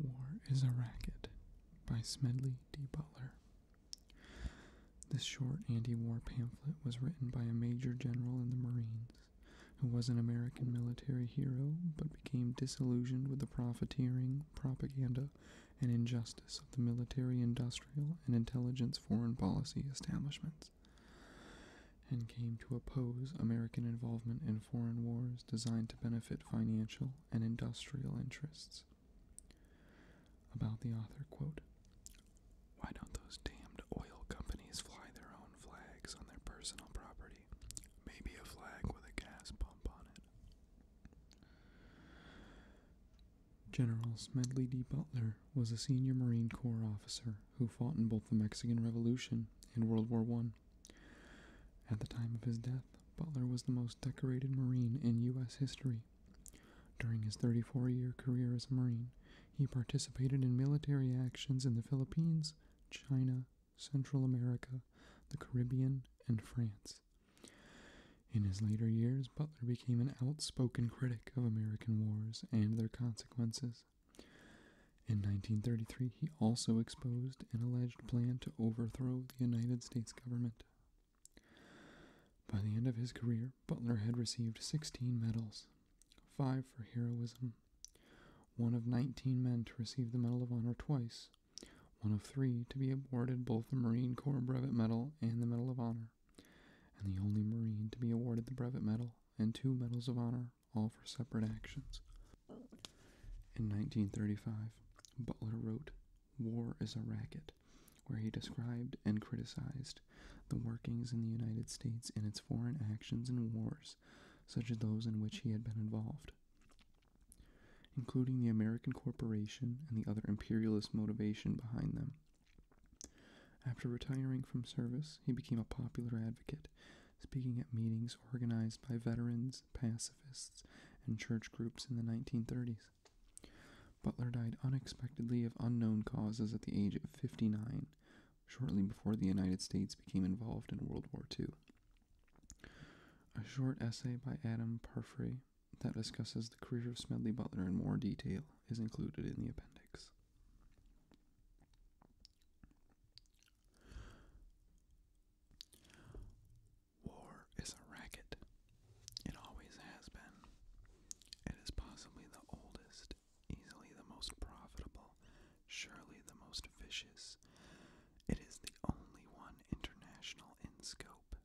War is a Racket by Smedley D. Butler. This short anti war pamphlet was written by a major general in the Marines who was an American military hero but became disillusioned with the profiteering, propaganda, and injustice of the military industrial and intelligence foreign policy establishments and came to oppose American involvement in foreign wars designed to benefit financial and industrial interests. About the author, quote, Why don't those damned oil companies fly their own flags on their personal property? Maybe a flag with a gas pump on it. General Smedley D. Butler was a senior Marine Corps officer who fought in both the Mexican Revolution and World War One. At the time of his death, Butler was the most decorated Marine in U.S. history. During his 34 year career as a Marine, he participated in military actions in the Philippines, China, Central America, the Caribbean, and France. In his later years, Butler became an outspoken critic of American wars and their consequences. In 1933, he also exposed and alleged alleged plan to overthrow the United States government. By the end of his career, Butler had received 16 medals, five for heroism, one of 19 men to receive the Medal of Honor twice, one of three to be awarded both the Marine Corps Brevet Medal and the Medal of Honor, and the only Marine to be awarded the Brevet Medal and two Medals of Honor, all for separate actions. In 1935, Butler wrote War is a Racket, where he described and criticized the workings in the United States and its foreign actions and wars, such as those in which he had been involved. Including the American corporation and the other imperialist motivation behind them. After retiring from service, he became a popular advocate, speaking at meetings organized by veterans pacifists, and church groups in the 1930s. Butler died unexpectedly of unknown causes at the age of 59, shortly before the United States became involved in World War II. A short essay by Adam Parfrey that discusses the career of Smedley Butler in more detail is included in the appendix. War is a racket. It always has been. It is possibly the oldest, easily the most profitable, surely the most vicious. It is the only one international in scope.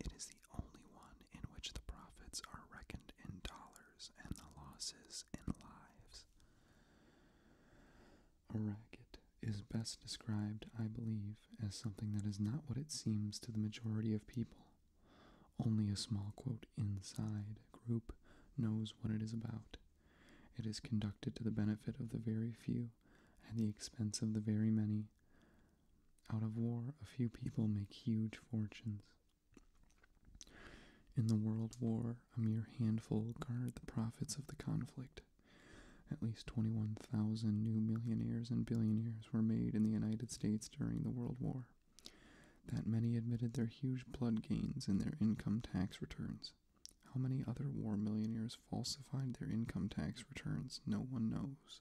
It is the only one in which the profits are reckoned in dollars and the losses in lives. A racket is best described, I believe, as something that is not what it seems to the majority of people. Only a small, quote, inside group knows what it is about. It is conducted to the benefit of the very few, at the expense of the very many. Out of war, a few people make huge fortunes. In the world war, a mere handful guard the profits of the conflict. At least 21,000 new millionaires and billionaires were made in the United States during the World War. That many admitted their huge blood gains in their income tax returns. How many other war millionaires falsified their income tax returns? No one knows.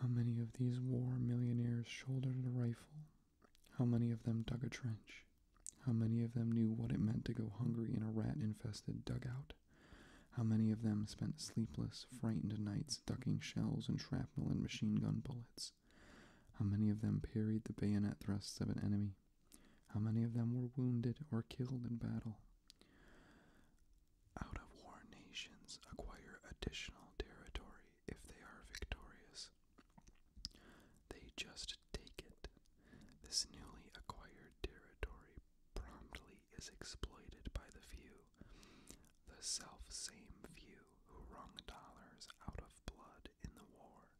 How many of these war millionaires shouldered a rifle? How many of them dug a trench? How many of them knew what it meant to go hungry in a rat infested dugout? How many of them spent sleepless, frightened nights ducking shells and shrapnel and machine gun bullets? How many of them parried the bayonet thrusts of an enemy? How many of them were wounded or killed in battle? Out of war nations acquire additional territory if they are victorious. They just take it. This newly acquired territory promptly is exploited by the few, the self same few who wrung dollars out of blood in the war.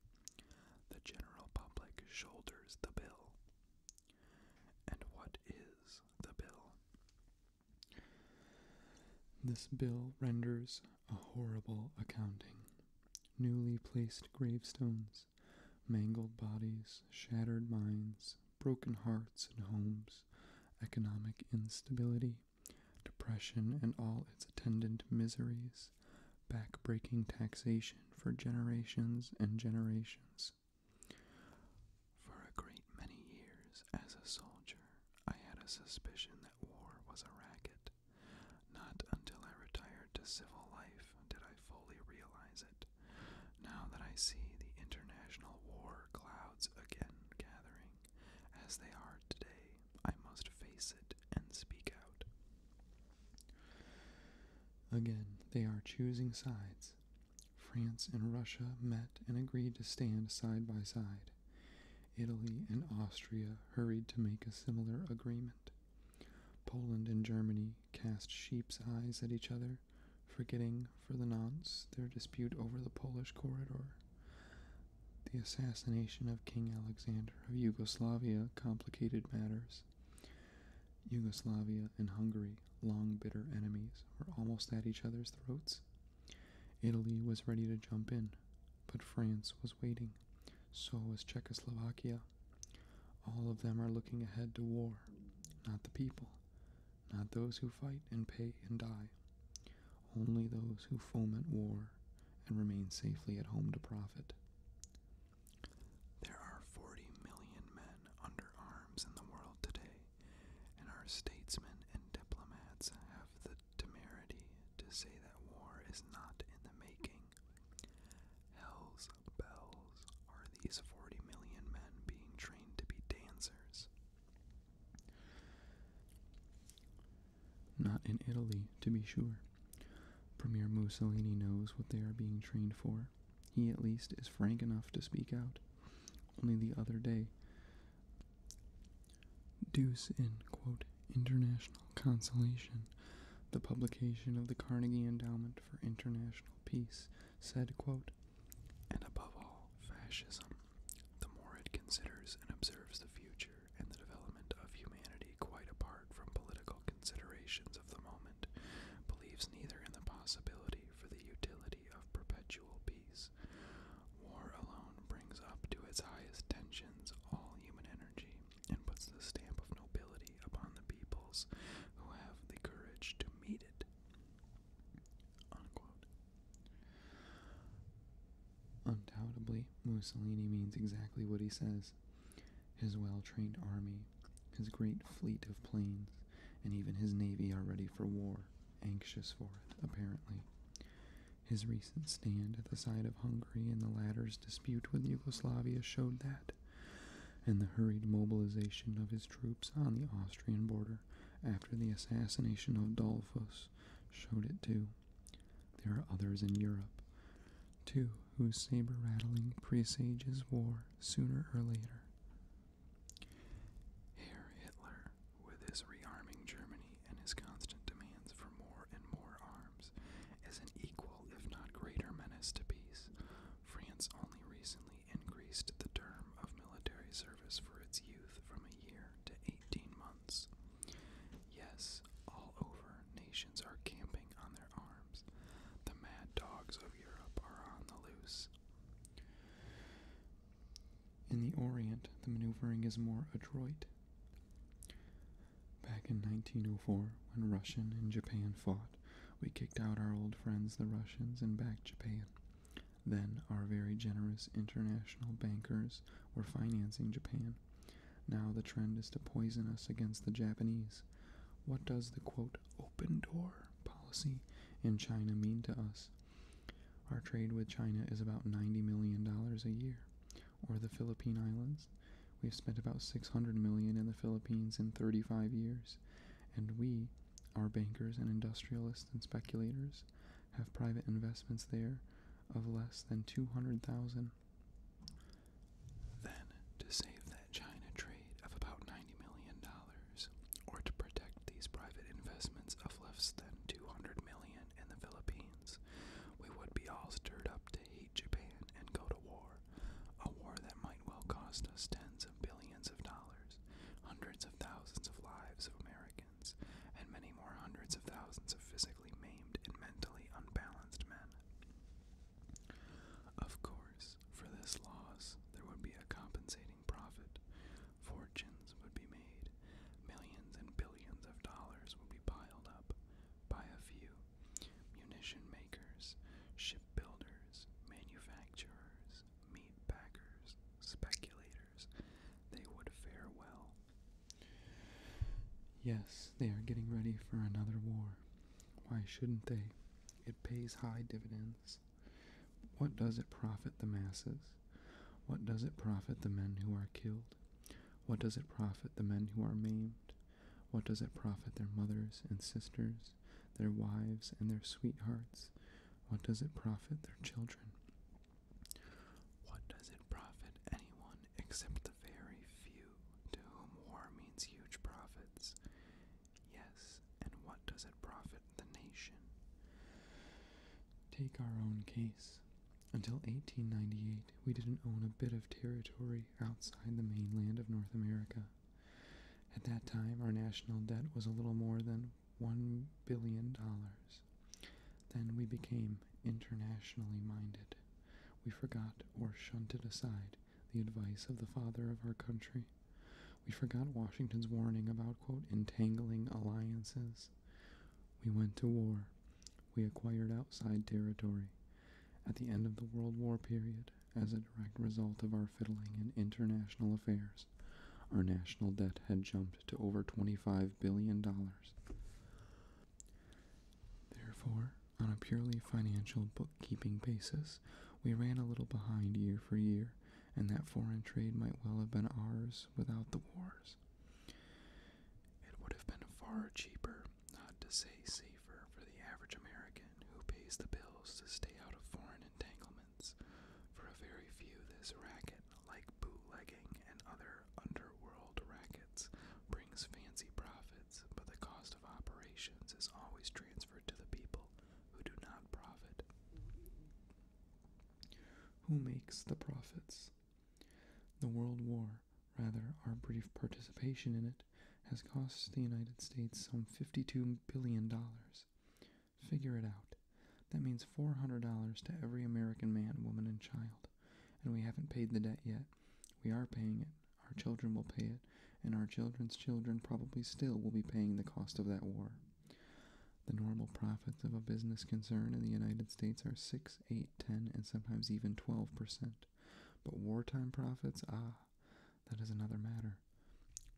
The general public shoulders the bill. And what is the bill? This bill renders a horrible accounting. Newly placed gravestones, mangled bodies, shattered minds, broken hearts and homes, economic instability, depression and all its attendant miseries, backbreaking taxation for generations and generations. For a great many years as a soldier, I had a suspicion that war was a racket. Not until I retired to civil life did I fully realize it. Now that I see the international war clouds again gathering, as they are today, I must face it and speak out. Again, they are choosing sides. France and Russia met and agreed to stand side by side. Italy and Austria hurried to make a similar agreement. Poland and Germany cast sheep's eyes at each other, forgetting for the nonce their dispute over the Polish corridor. The assassination of King Alexander of Yugoslavia complicated matters. Yugoslavia and Hungary, long bitter enemies, were almost at each other's throats. Italy was ready to jump in, but France was waiting. So was Czechoslovakia. All of them are looking ahead to war, not the people, not those who fight and pay and die, only those who foment war and remain safely at home to profit. There are 40 million men under arms in the world today, and our statesmen and diplomats have the temerity to say that war is not in the making. Hell's bells are these 40 million men being trained to be dancers. Not in Italy, to be sure. Premier Mussolini knows what they are being trained for. He, at least, is frank enough to speak out. Only the other day, Deuce in quote, international Consolation, the publication of the Carnegie Endowment for International Peace, said, quote, And above all, fascism, the more it considers and observes the future and the development of humanity quite apart from political considerations of the moment, believes neither in the possibility for the utility of perpetual peace. War alone brings up to its highest tensions all human energy, and puts the stamp of nobility upon the peoples who have the courage to meet it. Undoubtedly, Mussolini means exactly what he says. His well trained army, his great fleet of planes, and even his navy are ready for war, anxious for it, apparently. His recent stand at the side of Hungary in the latter's dispute with Yugoslavia showed that, and the hurried mobilization of his troops on the Austrian border after the assassination of Dollfuss showed it too. There are others in Europe, too, whose saber rattling presages war sooner or later. Herr Hitler, with his rearming Germany and his constant demands for more and more arms, is an equal, if not greater, menace to peace. France only recently increased the term of military service for its youth from a year to 18 months. Yes, all over, nations are camping on their arms. The mad dogs of Europe are on the loose. In the Orient, the maneuvering is more adroit. Back in 1904, when Russia and Japan fought, we kicked out our old friends, the Russians, and backed Japan. Then our very generous international bankers were financing Japan. Now the trend is to poison us against the Japanese. What does the quote open door policy in China mean to us? Our trade with China is about $90 million a year, or the Philippine Islands, We've spent about 600 million in the Philippines in 35 years, and we, our bankers and industrialists and speculators, have private investments there of less than 200,000. Then, to save that China trade of about 90 million dollars, or to protect these private investments of less than 200 million in the Philippines, we would be all stirred up to hate invade Japan and go to war, a war that might well cost us tens of billions of dollars, hundreds of thousands of lives of Americans, and many more hundreds of thousands of physically maimed and mentally unbalanced men. Of course, for this loss, there would be a compensating profit. Fortunes would be made, millions and billions of dollars would be piled up, by a few munition makers, shipbuilders, manufacturers, meat packers, speculators, they would fare well. Yes, they are getting ready for another war. Why shouldn't they? It pays high dividends. What does it profit the masses? What does it profit the men who are killed? What does it profit the men who are maimed? What does it profit their mothers and sisters, their wives and their sweethearts? What does it profit their children? What does it profit anyone except the very few to whom war means huge profits? Yes, and what does it profit the nation? Take our own case. Until 1898, we didn't own a bit of territory outside the mainland of North America. At that time, our national debt was a little more than $1 billion. Then we became internationally minded. We forgot or shunted aside the advice of the father of our country. We forgot Washington's warning about, quote, entangling alliances. We went to war. We acquired outside territory. At the end of the World War period, as a direct result of our fiddling in international affairs, our national debt had jumped to over $25 billion. Therefore, on a purely financial bookkeeping basis, we ran a little behind year for year, and that foreign trade might well have been ours without the wars. It would have been far cheaper not to say safer, for the average American who pays the bills to stay out of foreign entanglements. For a very few, this racket, like bootlegging and other underworld rackets, brings fancy profits, but the cost of operations is always transferred to the people who do not profit. Who makes the profits? The World War, rather, our brief participation in it, has cost the United States some $52 billion. Figure it out. That means $400 to every American man, woman, and child. And we haven't paid the debt yet. We are paying it. Our children will pay it. And our children's children probably still will be paying the cost of that war. The normal profits of a business concern in the United States are 6, 8, 10, and sometimes even 12%. But wartime profits, ah, that is another matter.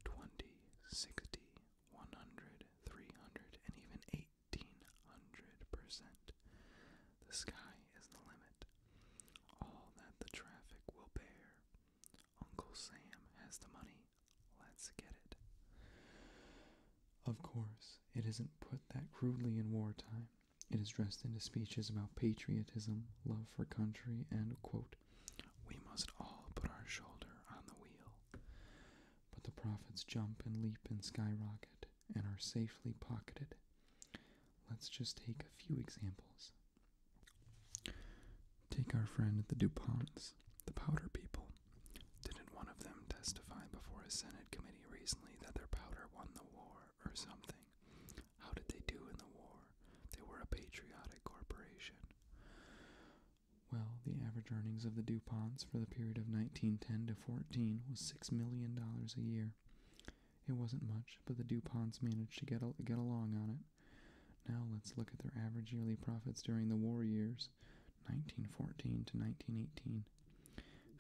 Twenty, sixty, one hundred, three hundred, and even 1800%. The sky is the limit. All that the traffic will bear. Uncle Sam has the money. Let's get it. Of course, it isn't put that crudely in wartime. It is dressed into speeches about patriotism, love for country, and, quote, we must all put our shoulder on the wheel. But the profits jump and leap and skyrocket and are safely pocketed. Let's just take a few examples. Take our friend the DuPonts, the powder people. Didn't one of them testify before a Senate committee recently that their powder won the war or something? How did they do in the war? They were a patriotic corporation. Well, the average earnings of the DuPonts for the period of 1910 to 14 was $6 million a year. It wasn't much, but the DuPonts managed to get, get along on it. Now let's look at their average yearly profits during the war years, 1914 to 1918.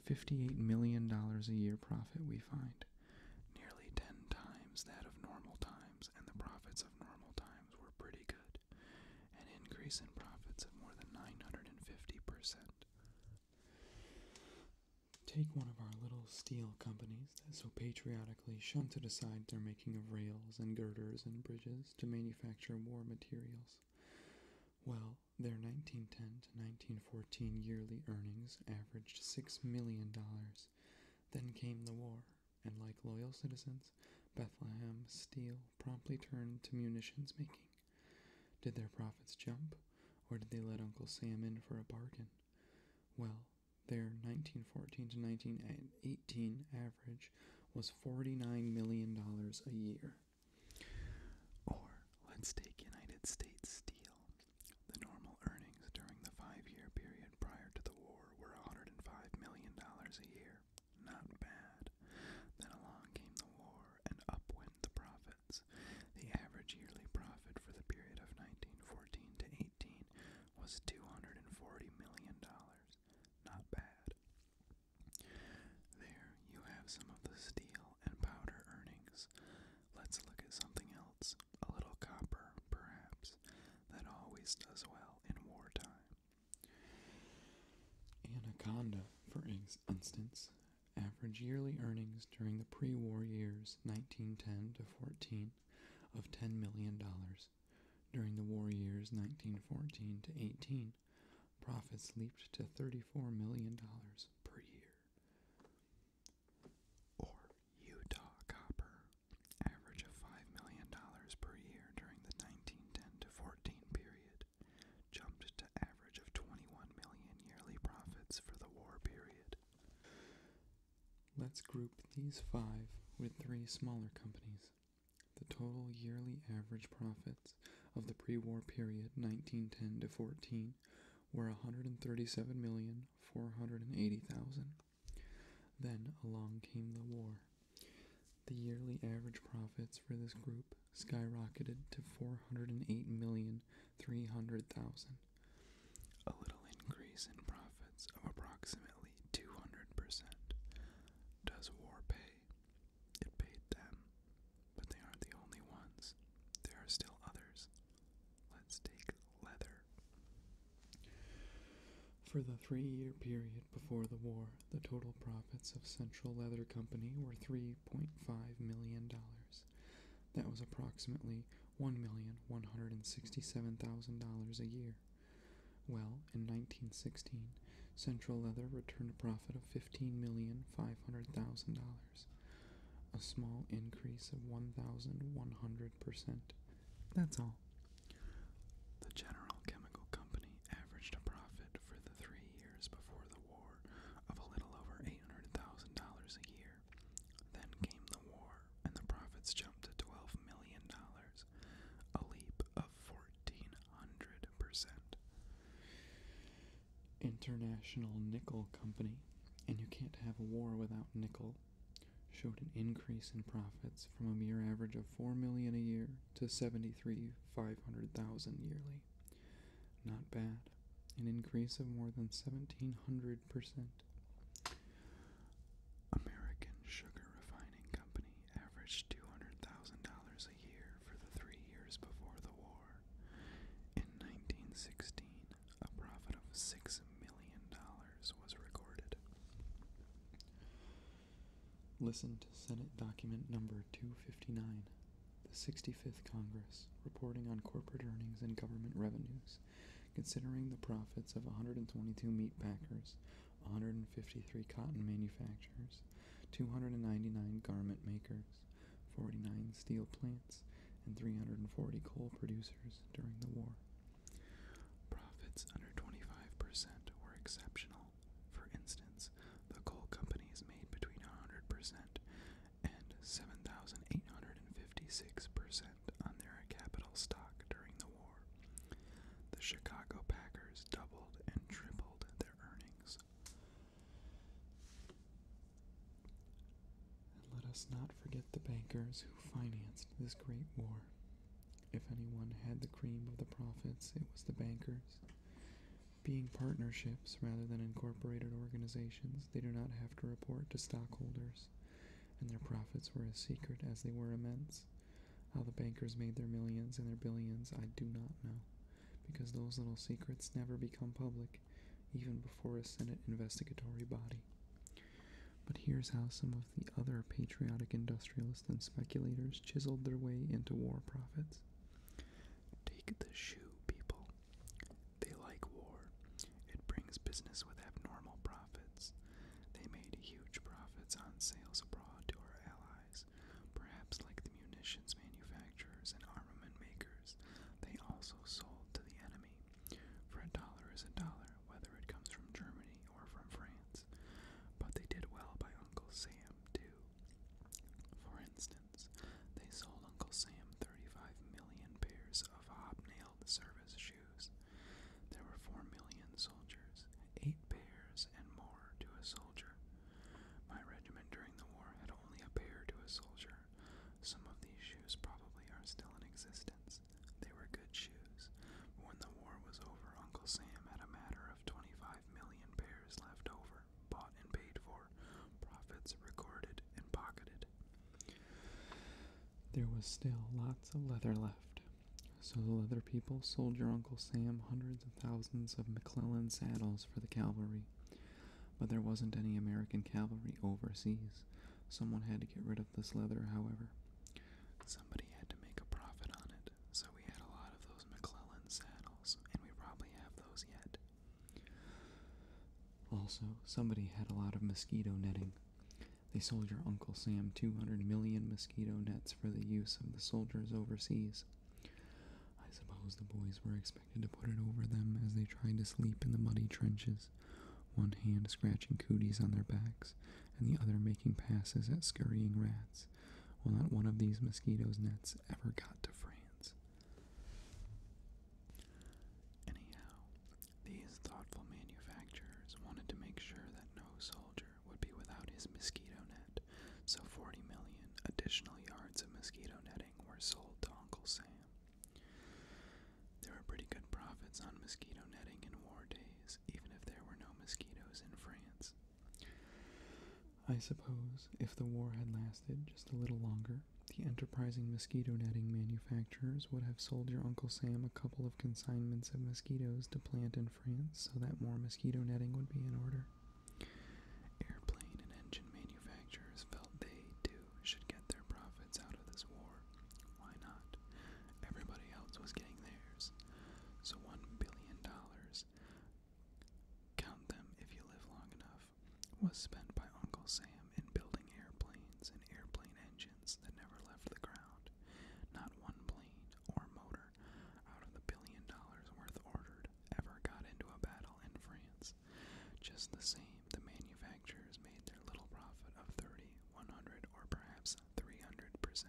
$58 million a year profit, we find nearly ten times that of normal times, and the profits of normal times were pretty good, an increase in profits of more than 950%. Take one of our little steel companies that so patriotically shunted aside their making of rails and girders and bridges to manufacture war materials. Well, their 1910 to 1914 yearly earnings averaged $6 million, then came the war, and like loyal citizens, Bethlehem Steel promptly turned to munitions making. Did their profits jump, or did they let Uncle Sam in for a bargain? Well, their 1914 to 1918 average was $49 million a year. Or let's take United States Steel, the normal earnings during the five year period prior to the war were $105 million a year. Not bad. Then along came the war, and up went the profits. The average yearly profit for the period of 1914 to 18 was $240 million. Not bad. There you have some of the steel and powder earnings. Let's look at something else, a little copper, perhaps, that always does well in wartime. Anaconda, for instance, average yearly earnings during the pre war years 1910 to 14 of $10 million. During the war years 1914 to 18, profits leaped to $34 million per year or Utah copper, average of $5 million per year during the 1910 to 14 period, jumped to average of 21 million yearly profits for the war period. Let's group these five with three smaller companies. The total yearly average profits of the pre-war period 1910 to 14 population were 137,480,000. Then along came the war. The yearly average profits for this group skyrocketed to 408,300,000, a little increase in profits of approximately 200%. Does war pay? It paid them, but they aren't the only ones. There are still others Let's take leather. For the three year period before the war, the total profits of Central Leather Company were $3.5 million. That was approximately $1,167,000 a year. Well, in 1916, Central Leather returned a profit of $15,500,000, a small increase of $1,100 that's all. The General Chemical Company averaged a profit for the three years before the war of a little over $800,000 a year. Then came the war, and the profits jumped to $12 million, a leap of 1,400%. International Nickel Company, and you can't have a war without nickel, showed an increase in profits from a mere average of 4 million a year to 73,500,000 yearly. Not bad, an increase of more than 1700%. American Sugar Refining Company averaged $200,000 a year for the 3 years before the war. In 1916, a profit of $6 million was recorded. Listen to Senate document number 259, the 65th Congress, reporting on corporate earnings and government revenues, considering the profits of 122 meat packers, 153 cotton manufacturers, 299 garment makers, 49 steel plants, and 340 coal producers during the war. Profits under 25% were exceptional. For instance, the coal companies made between 100% and 7,856% on their capital stock during the war. The Chicago Packers doubled and tripled their earnings. And let us not forget the bankers who financed this great war. If anyone had the cream of the profits, it was the bankers. Being partnerships rather than incorporated organizations, they do not have to report to stockholders, and their profits were as secret as they were immense. How the bankers made their millions and their billions, I do not know, because those little secrets never become public, even before a Senate investigatory body. But here's how some of the other patriotic industrialists and speculators chiseled their way into war profits. Take the shoe, people. They like war. It brings business with abnormal profits. They made huge profits on sales abroad to our allies, perhaps like the munitions manufacturers and armament makers. They also sold to the enemy. For a dollar is a dollar, whether it comes from Germany or from France. But they did well by Uncle Sam, too. For instance, they sold Uncle Sam 35 million pairs of hobnailed service shoes. There were 4 million soldiers, 8 pairs and more to a soldier. My regiment during the war had only a pair to a soldier. Some of these shoes probably are still in existence. They were good shoes. But when the war was over, Uncle Sam had a matter of 25 million pairs left over, bought and paid for, profits recorded and pocketed. There was still lots of leather left, so the leather people sold your Uncle Sam hundreds of thousands of McClellan saddles for the cavalry. But there wasn't any American cavalry overseas, Someone had to get rid of this leather, however. Somebody had to make a profit on it, so we had a lot of those McClellan saddles, and we probably have those yet. Also, somebody had a lot of mosquito netting. They sold your Uncle Sam 200 million mosquito nets for the use of the soldiers overseas. I suppose the boys were expected to put it over them as they tried to sleep in the muddy trenches one hand scratching cooties on their backs, and the other making passes at scurrying rats, while not one of these mosquitoes' nets ever got to France. Anyhow, these thoughtful manufacturers wanted to make sure that no soldier would be without his mosquito net, so 40 million additional yards of mosquito netting were sold to Uncle Sam. There were pretty good profits on mosquito netting in war days, even if there were no mosquitoes in France. I suppose if the war had lasted just a little longer, the enterprising mosquito netting manufacturers would have sold your Uncle Sam a couple of consignments of mosquitoes to plant in France so that more mosquito netting would be in order. Airplane and engine manufacturers felt they, too, too should get their profits out of this war. Why not? Everybody else was getting theirs. So $1 billion, count them if you live long enough, was spent by Uncle Sam in building airplanes and airplane engines that never left the ground. Not one plane or motor out of the billion dollars worth ordered ever got into a battle in France. Just the same, the manufacturers made their little profit of 30 100 or perhaps 300%.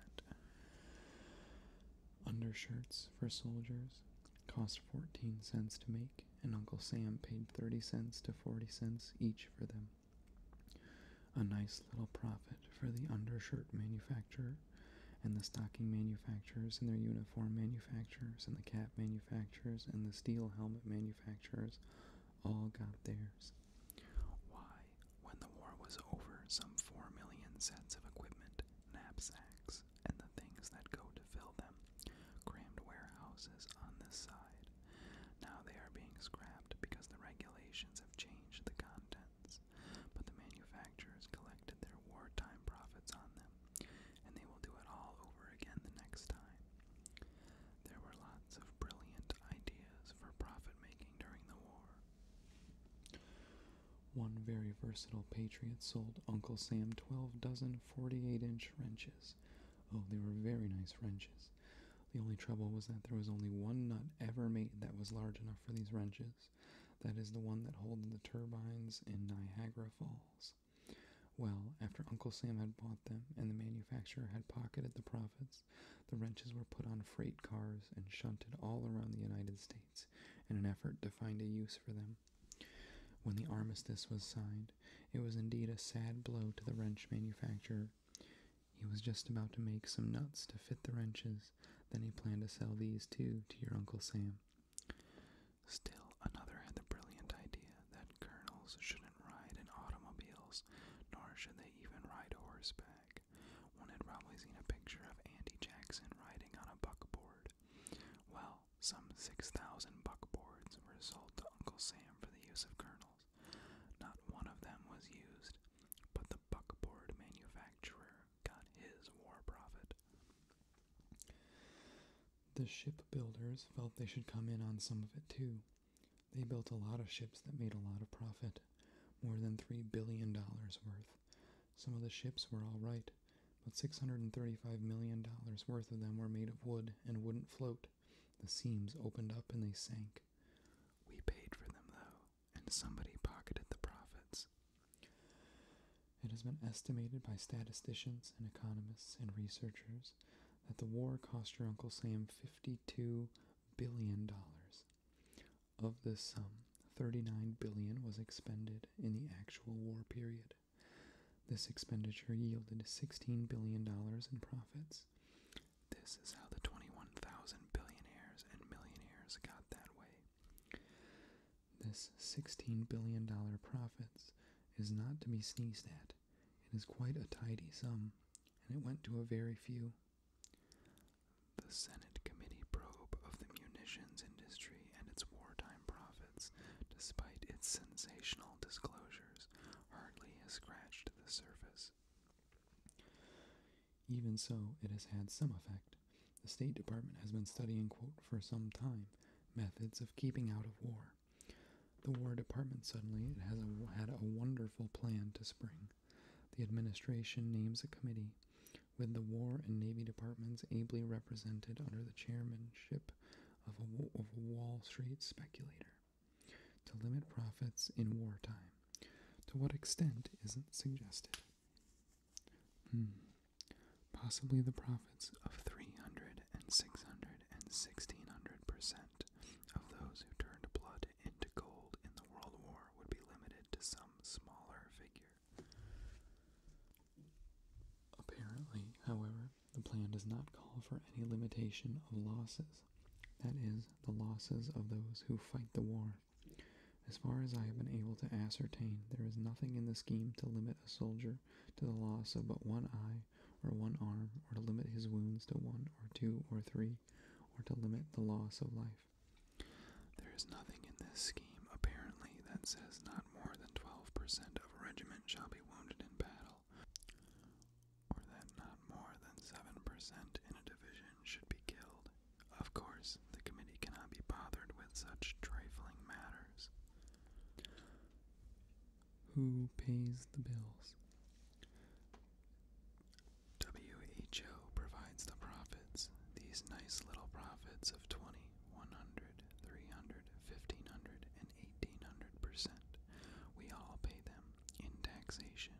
Undershirts for soldiers cost 14 cents to make, and Uncle Sam paid 30 cents to 40 cents each for them. A nice little profit for the undershirt manufacturer and the stocking manufacturers and their uniform manufacturers and the cap manufacturers and the steel helmet manufacturers all got theirs. Why, when the war was over, some four million sets of equipment, knapsacks, and the things that go to fill them, crammed warehouses on this side. Now they are being scrapped because the regulations have changed the contents, but the manufacturers collected their wartime profits on them, and they will do it all over again the next time. There were lots of brilliant ideas for profit making during the war. One very versatile patriot sold Uncle Sam 12 dozen 48 inch wrenches. Oh, they were very nice wrenches. The only trouble was that there was only one nut ever made that was large enough for these wrenches. That is the one that holds the turbines in Niagara Falls. Well, after Uncle Sam had bought them and the manufacturer had pocketed the profit, the wrenches were put on freight cars and shunted all around the United States in an effort to find a use for them. When the armistice was signed, it was indeed a sad blow to the wrench manufacturer. He was just about to make some nuts to fit the wrenches, then he planned to sell these too to your Uncle Sam. Still, another had the brilliant idea that colonels shouldn't ride in automobiles, nor should they even ride horseback. One had probably seen a picture of Andy Jackson riding on a buckboard. Well, some 6,000 buckboards were sold to Uncle Sam for the use of colonels. Not one of them was used, but the buckboard manufacturer got his war profit. The shipbuilders felt they should come in on some of it too. They built a lot of ships that made a lot of profit, more than $3 billion worth. Some of the ships were all right, but $635 million worth of them were made of wood and wouldn't float. The seams opened up and they sank. We paid for them, though, and somebody pocketed the profits. It has been estimated by statisticians and economists and researchers that the war cost your Uncle Sam $52 billion. Of this sum, $39 billion was expended in the actual war period. This expenditure yielded $16 billion in profits. This is how the 21,000 billionaires and millionaires got that way. This $16 billion profits is not to be sneezed at. It is quite a tidy sum, and it went to a very few. The Senate committee probe of the munitions industry and its wartime profits, despite its sensational disclosures, hardly has scratched the surface. Even so, it has had some effect. The State Department has been studying, quote, for some time, methods of keeping out of war, the War Department suddenly has a, had a wonderful plan to spring. The administration names a committee, with the War and Navy Departments ably represented under the chairmanship of a, Wall Street speculator, to limit profits in wartime. To what extent isn't suggested? Hmm. Possibly the profits of 300 600 and 1600 percent of those who turned blood into gold in the World War would be limited to some smaller figure. Apparently, however, the plan does not call for any limitation of losses, that is, the losses of those who fight the war. As far as I have been able to ascertain, there is nothing in the scheme to limit a soldier to the loss of but one eye or one arm, or to limit his wounds to one or two or three, or to limit the loss of life. There is nothing in this scheme, apparently, that says not more than 12% of a regiment shall be wounded in battle, or that not more than 7% in a division should be killed. Of course, the committee cannot be bothered with such trifling matters. Who pays the bills? WHO provides the profits. These nice little profits of 20, 100, 300, 1500, and 1800%. We all pay them in taxation.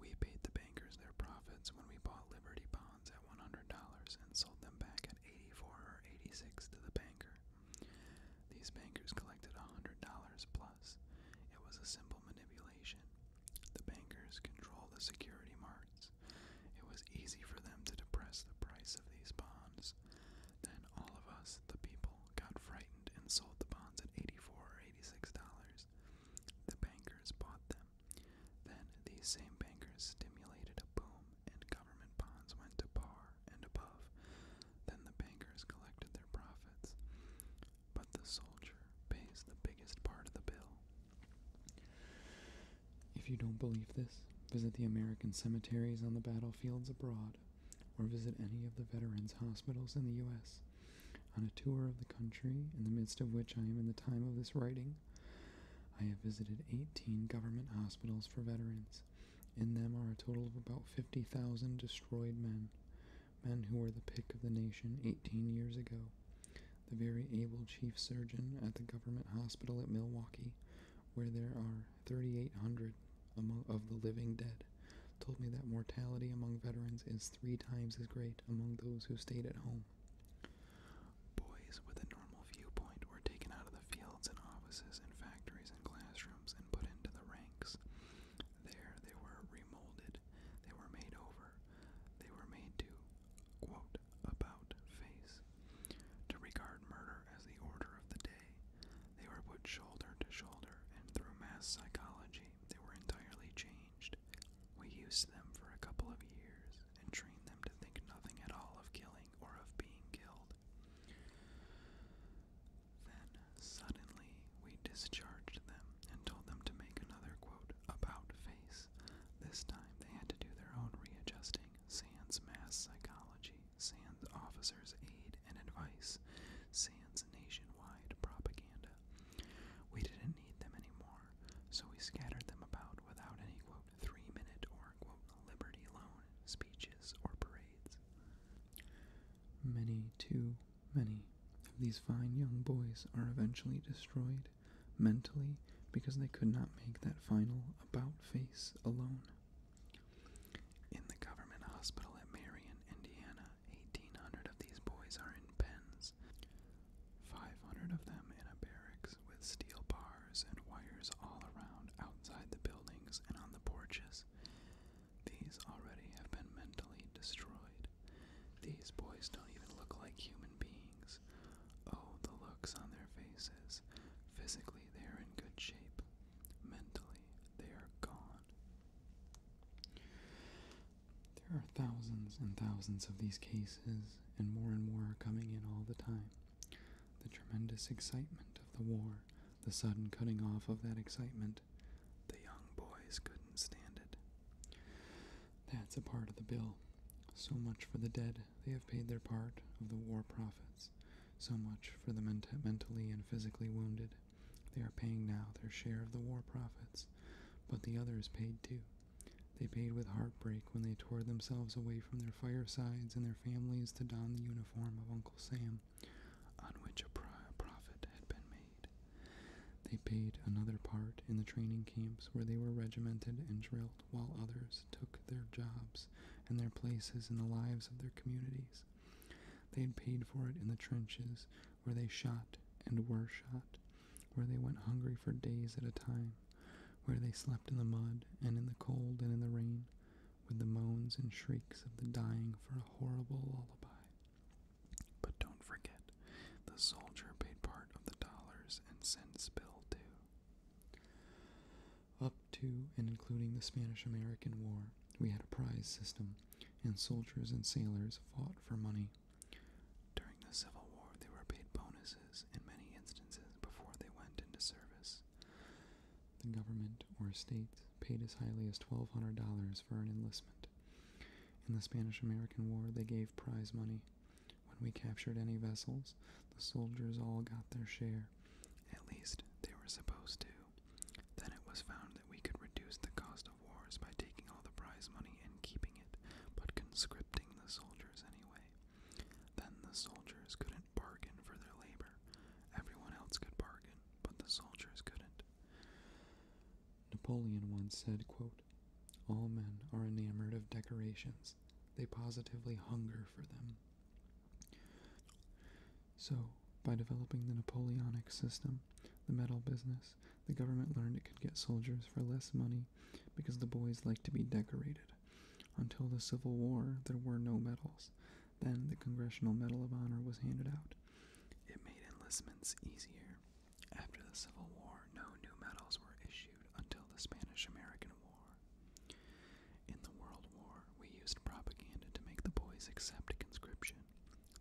We paid the bankers their profits when we bought Liberty bonds at $100 and sold them back at 84 or 86 to the banker. These bankers collected $100 plus. It was a simple manipulation. The bankers control the security markets. It was easy for them to depress the price of these bonds. Then all of us, the people, got frightened and sold the bonds at 84 or 86 dollars. The bankers bought them. Then these same bankers stimulated a boom and government bonds went to par and above. Then the bankers collected their profits, but the soldier pays the biggest part of the bill. If you don't believe this, visit the American cemeteries on the battlefields abroad, or visit any of the veterans' hospitals in the U.S. On a tour of the country, in the midst of which I am in the time of this writing, I have visited 18 government hospitals for veterans. In them are a total of about 50,000 destroyed men men who were the pick of the nation 18 years ago. The very able chief surgeon at the government hospital at Milwaukee, where there are 3,800 of the living dead, told me that mortality among veterans is three times as great among those who stayed at home. Boys with a normal viewpoint were taken out of the fields and offices and factories and classrooms and put into the ranks there. They were remolded. They were made over. They were made to, quote, about face. To regard murder as the order of the day. They were put shoulder to shoulder, and through mass psychology, they were entirely changed. We used them for a couple of years and trained them to think nothing at all of killing or of being killed. Then suddenly we discharged them and told them to make another quote about face. This time they had to do their own readjusting. Sans mass psychology, sans officers' aid and advice, sans nationwide propaganda. We didn't need them anymore, so we scattered them about without any three minute or liberty loan speeches or parades. Many, too, Many of these fine young boys are eventually destroyed mentally because they could not make that final about face alone. In the government hospital at Marion, Indiana, 1,800 of these boys are in pens, 500 of them in a barracks with steel bars and wires all around outside the buildings and on the porches, these already have been mentally destroyed. These boys don't even look like human beings. Oh, the looks on their faces. Physically, they are in good shape. Mentally, they are gone. There are thousands and thousands of these cases, and more and more are coming in all the time. The tremendous excitement of the war, the sudden cutting off of that excitement, the young boys couldn't stand it. That's a part of the bill. So much for the dead. They have paid their part of the war profits. So much for the mentally and physically wounded. They are paying now their share of the war profits. But the others paid too. They paid with heartbreak when they tore themselves away from their firesides and their families to don the uniform of Uncle Sam on which a profit had been made. They paid another part in the training camps where they were regimented and drilled, while others took their jobs and their places in the lives of their communities. They had paid for it in the trenches, where they shot and were shot, where they went hungry for days at a time, where they slept in the mud and in the cold and in the rain, with the moans and shrieks of the dying for a horrible lullaby. But don't forget, the soldier paid part of the dollars and cents bill too. Up to and including the Spanish American War, we had a prize system, and soldiers and sailors fought for money. During the Civil War, they were paid bonuses in many instances before they went into service. The government or states paid as highly as $1,200 for an enlistment. In the Spanish American War, they gave prize money. When we captured any vessels, the soldiers all got their share. At least they were supposed to. Then it was found that we could reduce the cost of wars by taking all the prize money and keeping it, but conscripting the soldiers anyway. Then the soldiers couldn't bargain for their labor. Everyone else could bargain, but the soldiers couldn't. Napoleon once said, quote, All men are enamored of decorations. They positively hunger for them. So, by developing the Napoleonic system, the medal business, the government learned it could get soldiers for less money because the boys liked to be decorated. Until the Civil War, there were no medals. Then the Congressional Medal of Honor was handed out. It made enlistments easier. After the Civil War, no new medals were issued until the Spanish American War. In the World War, we used propaganda to make the boys accept conscription.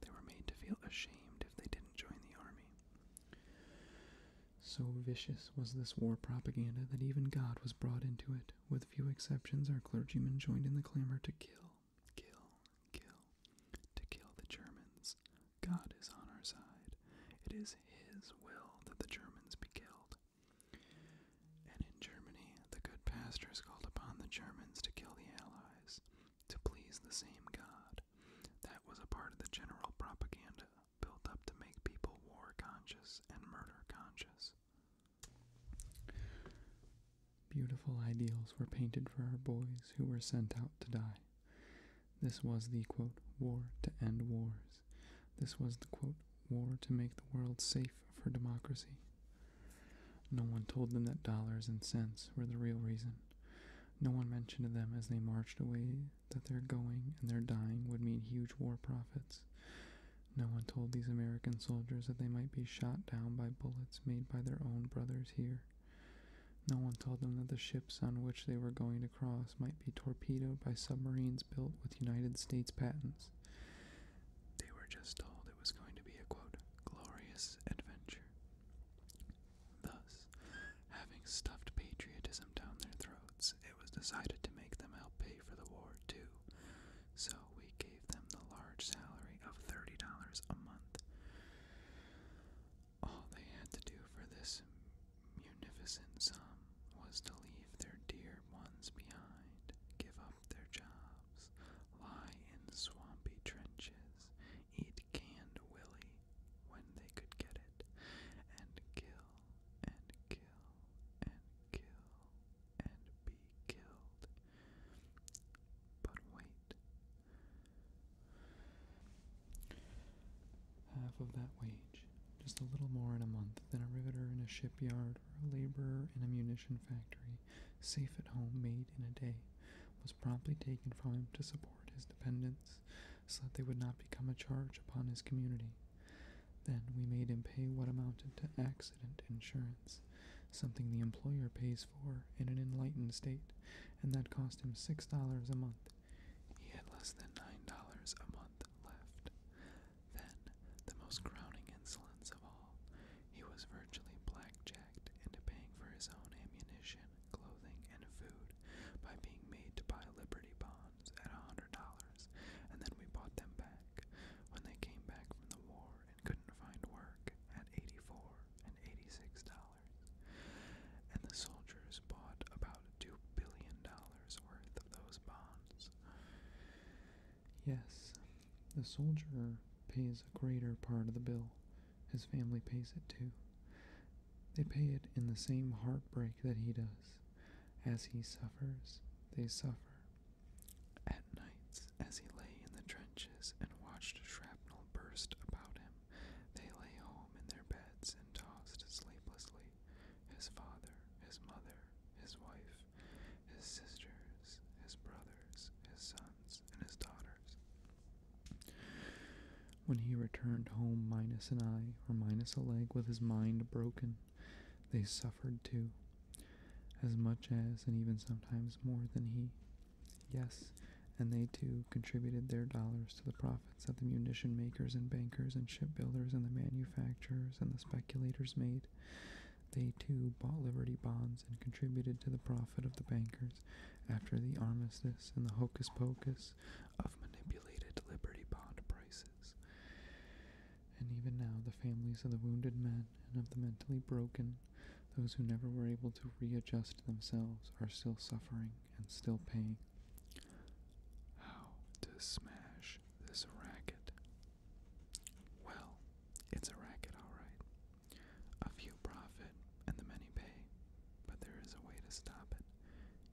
They were made to feel ashamed if they didn't join the army. So vicious was this war propaganda that even God was brought into it. With few exceptions, our clergymen joined in the clamor to kill, kill, kill, to kill the Germans. God is on our side. It is His will that the Germans be killed. And in Germany, the good pastor is called upon the Germans to kill the Allies, to please the same God. That was a part of the general propaganda built up to make people war conscious and murder conscious. Beautiful ideals were painted for our boys who were sent out to die. This was the, quote, war to end wars. This was the, quote, war to make the world safe for democracy. No one told them that dollars and cents were the real reason. No one mentioned to them as they marched away that their going and their dying would mean huge war profits. No one told these American soldiers that they might be shot down by bullets made by their own brothers here. No one told them that the ships on which they were going to cross might be torpedoed by submarines built with United States patents. They were just told it was going to be a glorious adventure. Thus, having stuffed patriotism down their throats, it was decided to make them help pay for the war, too. So we gave gave them the large salary of $30 a month. All they had to do for this munificent sum was to leave their dear ones behind, give up their jobs, lie in swampy trenches, eat canned willy when they could get it, and kill and kill and kill and be killed. But wait. Half of that wage, just a little more in a month than a riveter in a shipyard or a laborer in a munition factory, safe at home, made in a day, was promptly taken from him to support his dependents, so that they would not become a charge upon his community. Then we made him pay what amounted to accident insurance something the employer pays for in an enlightened state, and that cost him $6 a month. He had less than $9 a month left. Then, the most crowning insolence of all, he was virtually blackjacked into paying for his own ammunition, clothing, and food by being made to buy Liberty bonds at $100, and then we bought them back. When they came back from the war couldn't find work at 84 and $86. And the soldiers bought about $2 billion worth of those bonds. Yes, the soldier pays a greater part of the bill. His family pays it too. They pay it in the same heartbreak that he does. As he suffers, they suffer nights, as he lay in the trenches and watched shrapnel burst about him, they lay home in their beds and tossed sleeplessly. His father, his mother, his wife, his sisters, his brothers, his sons, and his daughters. When he returned home, Minus an eye or Minus a leg with his mind broken, they suffered too, as much as and even sometimes more than he. Yes, and they too contributed their dollars to the profits that the munition makers and bankers and shipbuilders and the manufacturers and the speculators made. They too bought Liberty bonds and contributed to the profit of the bankers after the armistice and the hocus pocus of manipulated Liberty bond prices. And even now, the families of the wounded men and of the mentally broken, those who never were able to readjust themselves are still suffering and still paying. How to smash this racket? Well, it's a racket, alright. A few profit and the many pay, but there is a way to stop it.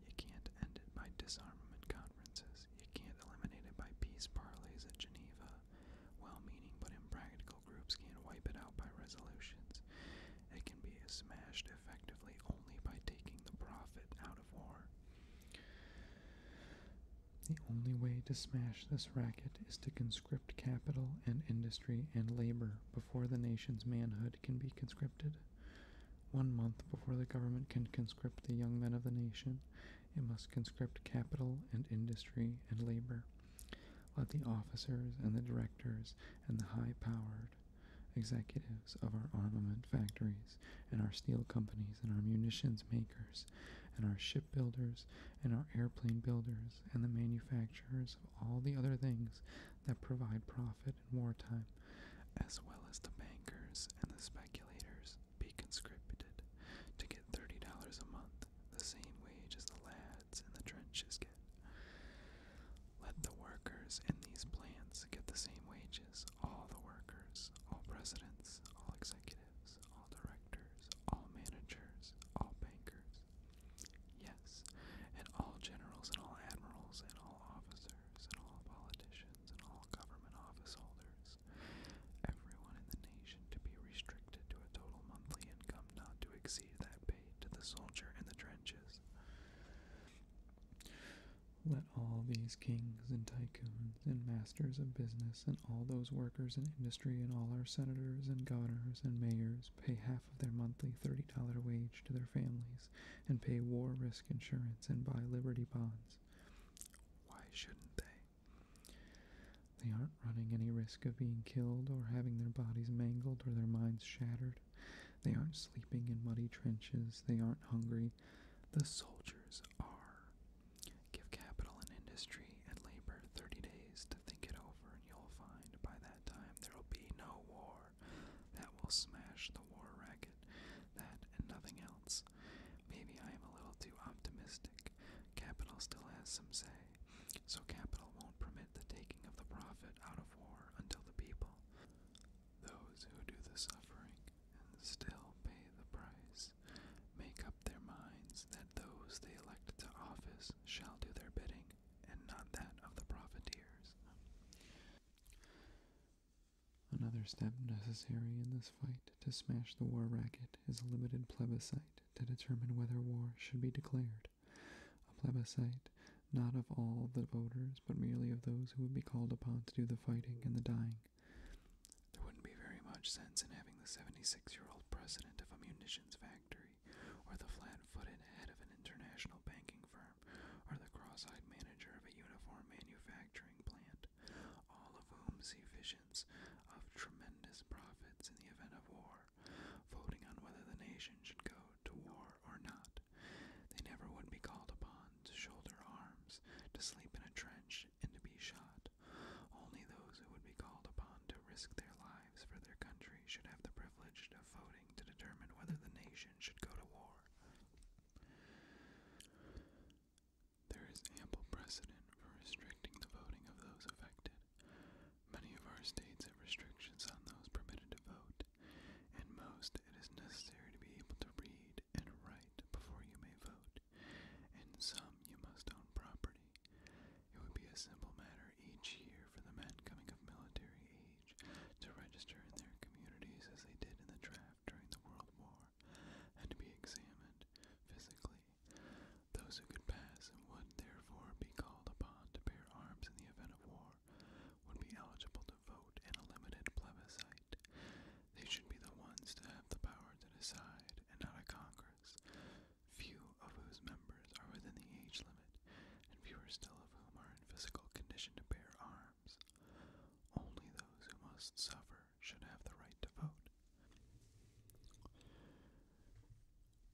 You can't end it by disarmament conferences, you can't eliminate it by peace parleys at Geneva. Well-meaning but impractical groups can wipe it out by resolutions. It can be smashed effectively only by taking the profit out of war. The only way to smash this racket is to conscript capital and industry and labor before the nation's manhood can be conscripted. One month before the government can conscript the young men of the nation, it must conscript capital and industry and labor. Let the officers and the directors and the high powered executives of our armament factories and our steel companies and our munitions makers and our shipbuilders and our airplane builders and the manufacturers of all the other things that provide profit in wartime, as well as the bankers and the speculators, be conscripted to get $30 a month, the same wage as the lad nomads in the trenches get. Let the workers in these plants get the same wages. All the workers, all presidents, all executives, all directors, all managers, all bankers. Yes, and all generals and all admirals and all officers and all politicians and all government office holders. Everyone in the nation to be restricted to a total monthly income not to exceed that paid to the soldier in the trenches. Let all these kings and tycoons and masters of business and all those workers in industry and all our senators and governors and mayors pay half of their monthly $30 wage to their families and pay war risk insurance and buy liberty bonds. Why shouldn't they? They aren't running any risk of being killed or having their bodies mangled or their minds shattered. They aren't sleeping in muddy trenches. They aren't hungry. The soldiers are. Give capital and industry and labor 30 days to think it over, and you'll find by that time there'll be no war. That will smash the war racket. That and nothing else. Maybe I am a little too optimistic. Capital still has some say, so capital won't permit the taking of the profit out of war until the people, those who do the suffering and still pay the price, make up their minds that those they elect to office shall do their bidding, and not that of the profiteers. Another step necessary in this fight to smash the war racket is a limited plebiscite to determine whether war should be declared. A plebiscite, not of all the voters, but merely of those who would be called upon to do the fighting and the dying. There wouldn't be very much sense in having the 76 year old president of a munitions factory, or the flat footed head of an international banking firm, or the cross eyed manager of a uniform manufacturing plant, all of whom see visions of tremendous profits in the event of war war, voting on whether the nation should go to war or not. They never would be called upon to shoulder arms, to sleep in a trench, and to be shot. Only those who would be called upon to risk their lives for their country should have the privilege of voting to determine whether the nation should go to war. There is ample precedent for restricting the voting of those affected. Many of our states have restrictions on those permitted to vote. In most, it is necessary to be able to read and write before you may vote. In some, you must own property. It would be a simple matter each year for the men coming of military age to register in their communities as they did in the draft during the World War, and to be examined physically those who could pass and would therefore be called upon to bear arms in the event of war would be eligible to vote in a limited plebiscite. They should be the ones to have the power to decide, and not a Congress, few of whose members are within the age limit, and fewer still of whom are in physical condition to bear arms. Only those who must suffer should have the right to vote.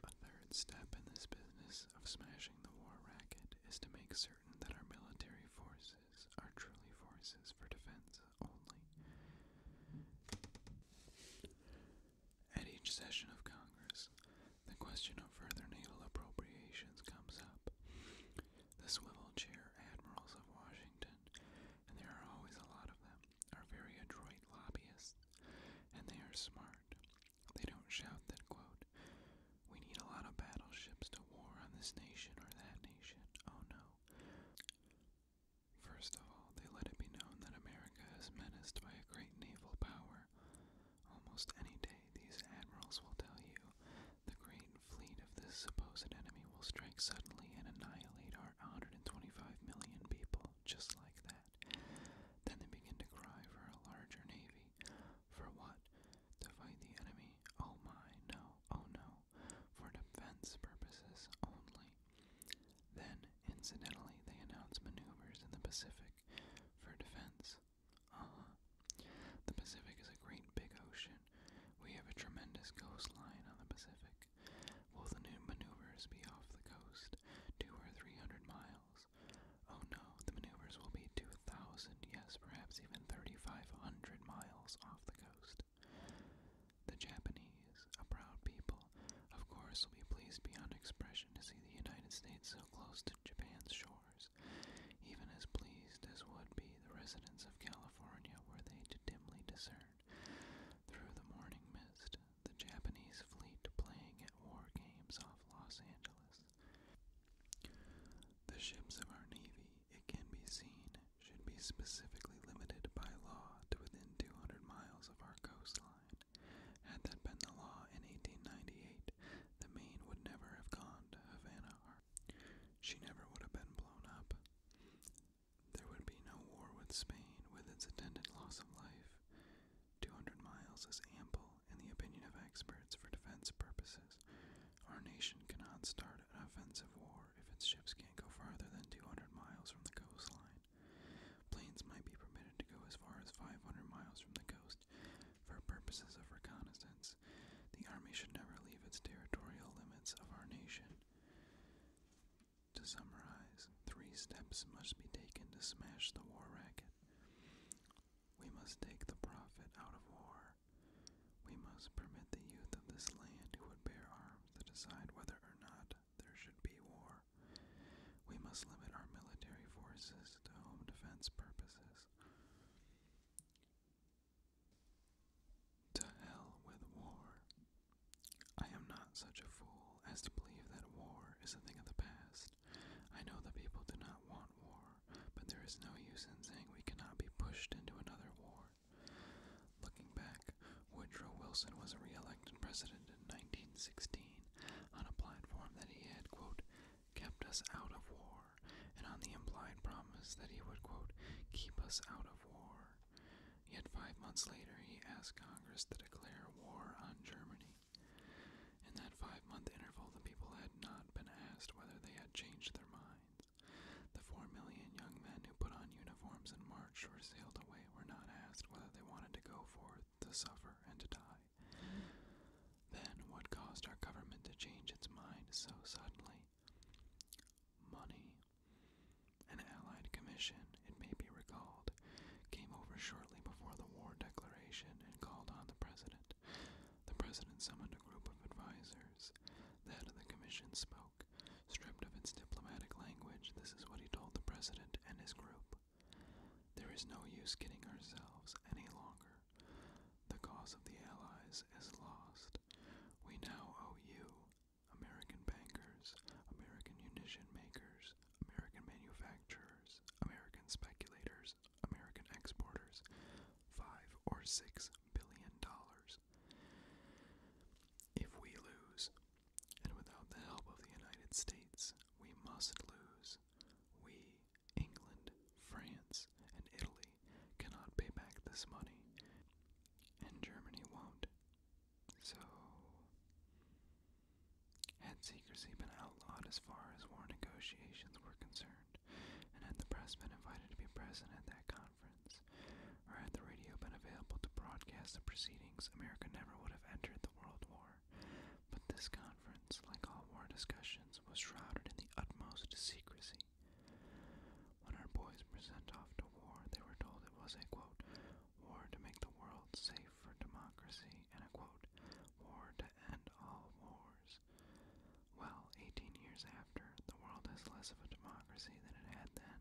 A third step in this business of smashing the war racket is to make certain that our military forces are truly forces for defense only. At each session of Congress, the question of further naval appropriations comes up. The swivel chair admirals of Washington, and there are always a lot of them, are very adroit lobbyists, and they are smart. They don't shout that, quote, we need a lot of battleships to war on this nation or that nation. Oh no. First of all, they let it be known that America is menaced by a great naval power. Almost any day, these admirals will tell you the great fleet of this supposed enemy will strike suddenly and annihilate our 125 million people just like that. Then they begin to cry for a larger navy. For what? To fight the enemy? Oh my, no, oh no. For defense purposes only. Then, incidentally, they announce maneuvers in the Pacific for defense. Uh The Pacific is a great big ocean. We have a tremendous coastline on the Pacific. Will the maneuvers be off the coast? two or three hundred miles. Oh no, the maneuvers will be two thousand, yes, perhaps even thirty five hundred miles off the coast. The Japanese, a proud people, of course will be pleased beyond expression to see the United States so close to Japan's shores, even as pleased as would be the residents of California were they to dimly discern, through the morning mist, the Japanese fleet playing at war games off Los Angeles. The ships of our Navy, it can be seen, should be specifically limited by law to within 200 miles of our coastline. Had that been the law in 1898, the Maine would never have gone to Havana. She never would have been blown up. There would be no war with Spain with its attendant loss of life. 200 miles is ample, in the opinion of experts, for defense purposes. Our nation cannot start an offensive war if its ships can't go farther than 200 miles from the coastline. Planes might be permitted to go as far as 500 miles from the coast for purposes of reconnaissance. The Army should never leave its territorial limits of our nation. To summarize, three steps must be taken to smash the war racket. We must take the profit out of war. We must permit the youth of this land who would bear arms to decide whether or not there should be war. We must limit our military forces to home defense purposes. To hell with war. I am not such a fool fool as to believe that war is a thing of the past. I know the people do not want war, but there is no use in saying we cannot be pushed into another war. Looking back, Woodrow Wilson was re-elected president in 1916 on a platform that he had, quote, kept us out of war, and on the implied promise that he would, quote, keep us out of war. Yet five months later, he asked Congress to declare war on Germany. In that five month interval, the people had not been asked whether they had changed their minds. The four million young men who put on uniforms and marched or sailed away were not asked whether they wanted to go forth to suffer and to die. Then, what caused our government to change its mind so suddenly? Money. An Allied commission it may be recalled, came over shortly before the war declaration and called on the president. The president summoned a group of advisers. The head of the commission spoke. Stripped of its diplomatic language, this is what he told the president and his group. There is no use kidding ourselves any longer. The cause of the Allies is lost. We now owe you, American bankers, American munition makers, American manufacturers, American speculators, American exporters, five or six billion dollars. If we lose, and without the help of the United States, we must lose. We, England, France, and Italy cannot pay back this money, and Germany won't. So, had secrecy been outlawed as far as war negotiations were concerned, and had the press been invited to be present at that conference, or had the radio been available to broadcast the proceedings, America never would have entered the World War. But this conference, like all war discussions, was shrouded in the utmost secrecy. When our boys were sent off to war, they were told it was a quote, war to make the world safe for democracy, and a quote, war to end all wars. Well, 18 years after, the world is less of a democracy than it had then.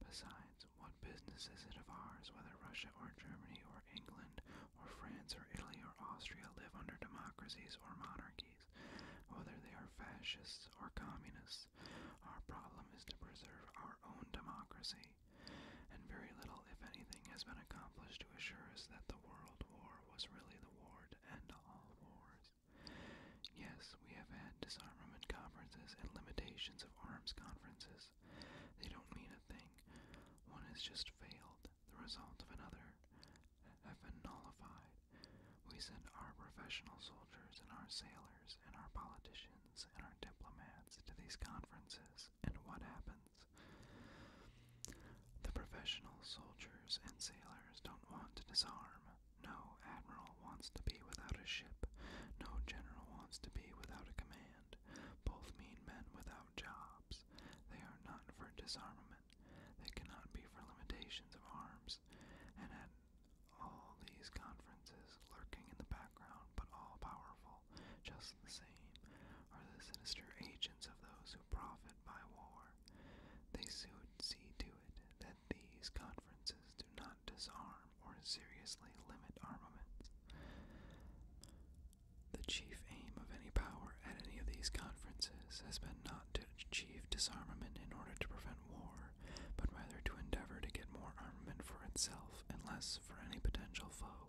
Besides, what business is it of ours whether Russia or Germany or England or France or Italy or Austria live under democracies or monarchies, whether they are fascists or communists? Our problem is to preserve our own democracy and very little, if anything, has been accomplished to assure us that the World War was really the war and end all wars. Yes, we have had disarmament conferences and limitations of arms conferences. They don't mean a thing. One has just failed, the result of another have been nullified. We send our professional soldiers and our sailors and our politicians and our diplomats to these conferences happens and what happens. The professional soldiers and sailors don't want to disarm. No admiral wants to be without a ship. No general wants to be without a command. Both mean men without jobs. They are not for disarmament. They cannot be for limitations of arms. And at all these conferences, lurking in the background but all powerful, just the same are the sinister agents of those who profit by war. They soon see to it that these conferences do not disarm or seriously limit armaments. The chief aim of any power at any of these conferences has been not to achieve disarmament in order to prevent war, but rather to endeavor to get more armament for itself and less for any potential foe.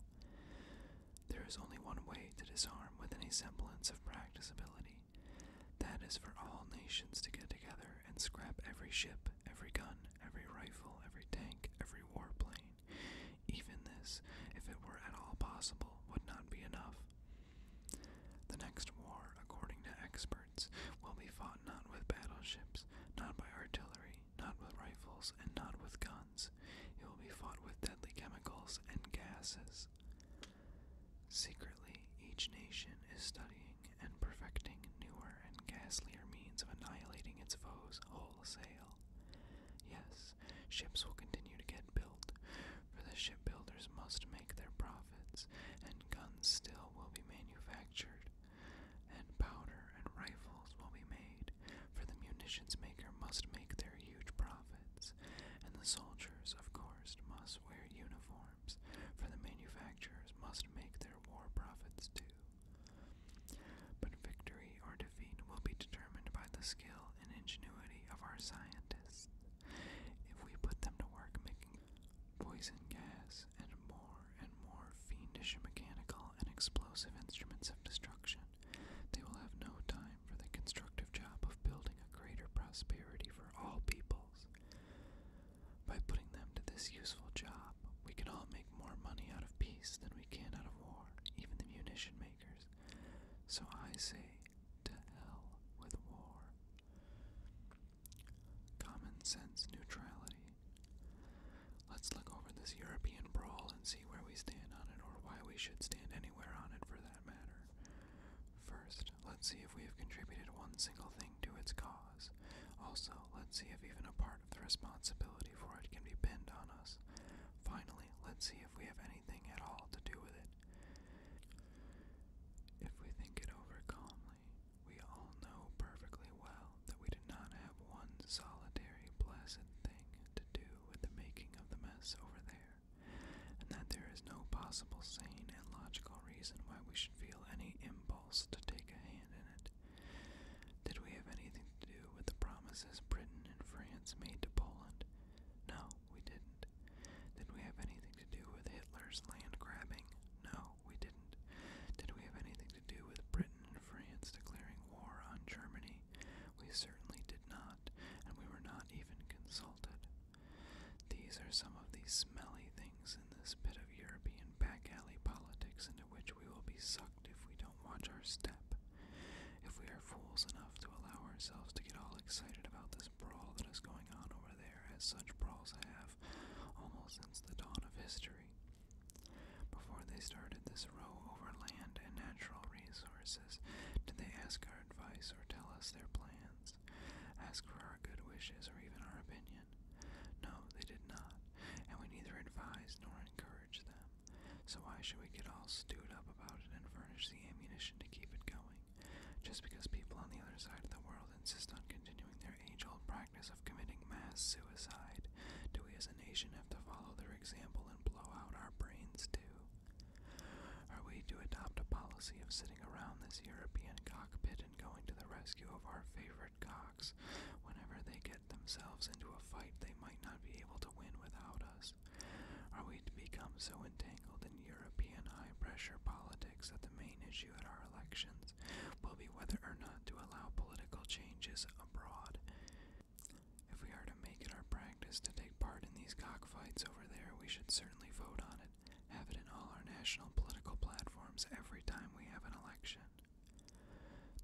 There is only one way to disarm with any semblance of practicability. That is for all nations to get together and scrap every ship, every gun, every rifle, every tank, every warplane. Even this, if it were at all possible, would not be enough. The next war, according to experts, will be fought not with battleships, not by artillery, not with rifles and not with guns. It will be fought with deadly chemicals and gases. Secretly, each nation is studying and perfecting newer and ghastlier means of annihilating its foes wholesale. Yes, ships will continue to get built, for the shipbuilders must make their profits, and guns still will be manufactured and powder and rifles will be made, for the munitions maker must make their huge profits, and the soldiers, of course, must wear uniforms, for the manufacturers must make their war profits too. But victory or defeat will be determined by the skill and ingenuity of our scientists. If we put them to work making poison gas and more more and more fiendish mechanical and explosive instruments of destruction, they will have no time for the constructive job of building a greater prosperity for all peoples. By putting them to this useful job, we can all make more money out of peace than we can out of war, even the munition makers. So I say, to hell with war. Common sense neutrality Let's look over this European brawl and see where we stand on it, or why we should stand anywhere on it for that matter. First, let's see if we have contributed one single thing to its cause. Also, let's see if even a part of the responsibility for it can be pinned on us. Finally, let's see if we have anything at all to do with it. If we think it over calmly, we all know perfectly well that we did not have one solitary blessed thing to do with the making of the mess over there, and that there is no possible sane and logical reason why we should feel any impulse to take a hand in it. Did we have anything to do with the promises Britain and France made to Poland? No, we didn't. Did we have anything to do with Hitler's land grabbing? No, we didn't. Did we have anything to do with Britain France declaring war on Germany. We certainly did not, and we were not even consulted. These are some of these smelly things in this bit of European back alley politics into which we will be sucked if we don't watch our step. If we are fools enough to allow ourselves to get all excited about this brawl that is going on over there, as such brawls have almost since the dawn of history, before they started this row over land and natural resources, did they ask our advice or tell us their plans, ask for our good wishes or even our opinion? No, they did not, and we neither advised nor encouraged them. So why should we get all stewed up about it and furnish the ammunition to keep it going? Just because people on the other side of the world insist on continuing their age-old practice of committing mass suicide, do we the nation have to follow their example and blow out our brains too? Are we to adopt a policy of sitting around this European cockpit and going to the rescue of our favorite cocks whenever they get themselves into a fight they might not be able to win without us? Are we to become so entangled in European high pressure politics that the main issue at our elections will be whether or not to allow political changes abroad? If we are to make it our practice to take part in these cockfights over there, we should certainly vote on it, have it in all our national political platforms every time we have an election.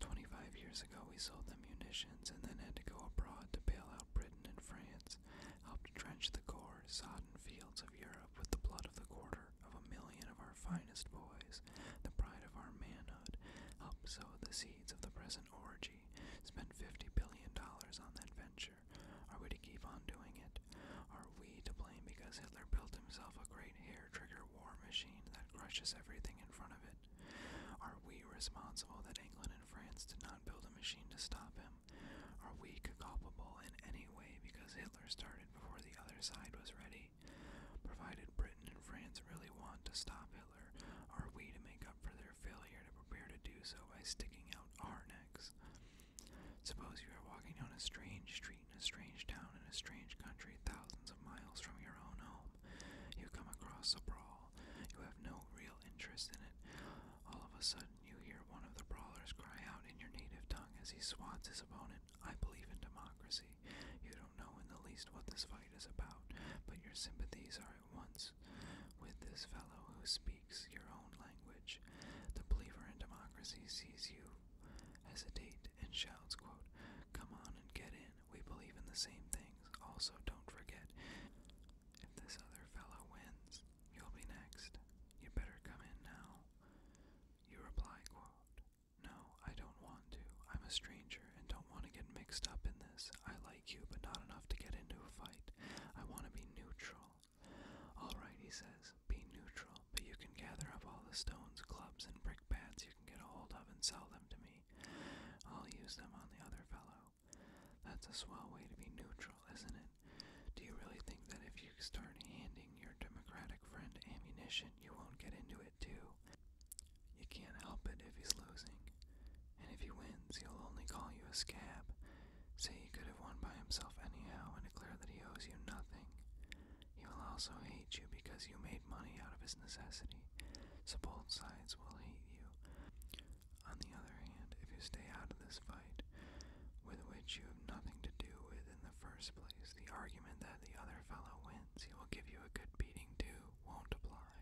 Twenty five years ago, we sold them munitions and then had to go abroad to bail out Britain and France, helped drench the gore, sodden fields of Europe with the blood of the quarter of a million of our finest boys politics, the pride of our manhood, helped sow the seeds of the present orgy, spent $50 billion on that venture. Are we to keep on doing it? Are we to blame because Hitler built himself a great hair trigger war machine that crushes everything in front of it? Are we responsible that England and France did not build a machine to stop him? Are we culpable in any way because Hitler started before the other side was ready? Germany. Provided Britain and France really want to stop Hitler, are we to make up for their failure to prepare to do so by sticking out our necks? Suppose you are walking down a strange street in a strange town in a strange country thousands of miles from your own home. You come across a brawl. You have no real interest in it. All of a sudden, you hear one of the brawlers cry out in your native tongue as he swats his opponent, I believe in democracy. You don't don't know in the least what this fight is about, but your sympathies are at once with this fellow who speaks your own language. The believer in democracy sees you hesitate and shouts, quote, Come on and get in. We believe in the same things. Also, don't forget, if this other fellow wins, you'll be next. You better come in now. You reply, quote, no, I don't want to. I'm a stranger and don't want to get mixed up in this. I like you, but not enough to get into a fight. I want to be neutral. Alright, he says, be neutral, but you can gather up all the stones, clubs, and brickbats you can get a hold of and sell them to me. I'll use them on the other fellow. That's a swell way to be neutral, isn't it? Do you really think that if you start handing your democratic friend ammunition, you won't get into it too? You can't help it if he's losing. And if he wins, he'll only call you a scab, say he could have won by himself anyhow, and declare that he owes you nothing. He will also hate you because you made money out of his necessity, so both sides will hate you. On the other hand, if you stay out of this fight, with which you have nothing to do with in the first place, the argument that the other fellow wins, he will give you a good beating too, won't apply.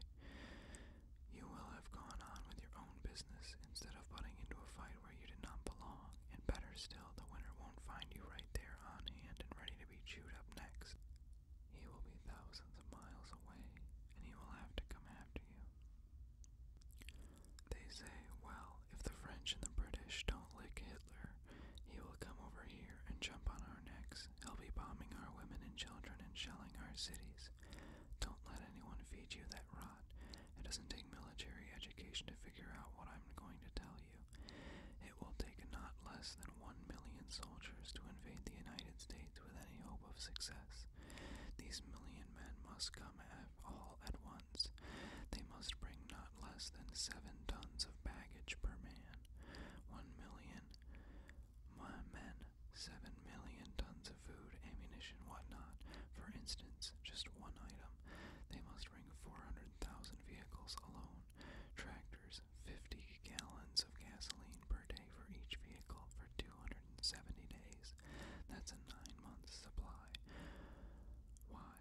You will have gone on with your own business instead of butting into a fight where you did not belong, and better still, the winner won't find you right there on hand and ready to be chewed up next. He will be thousands of miles away, and he will have to come after you. They say, well, if the French and the British don't lick Hitler, he will come over here and jump on our necks attacks. He'll be bombing our women and children and shelling our cities. Don't let anyone feed you that rot. It doesn't take military education to figure out what I'm going to tell you. It will take not less than one million soldiers to invade the United States with any hope of success. These million men must come at all at once. They must bring not less than seven tons of baggage per man. One million my men seven million tons of food, ammunition, whatnot. For instance, just one item, they must bring 400,000 vehicles alone, tractors, 50 gallons of gasoline per day for each vehicle for 270 days. That's a nine month supply. Why?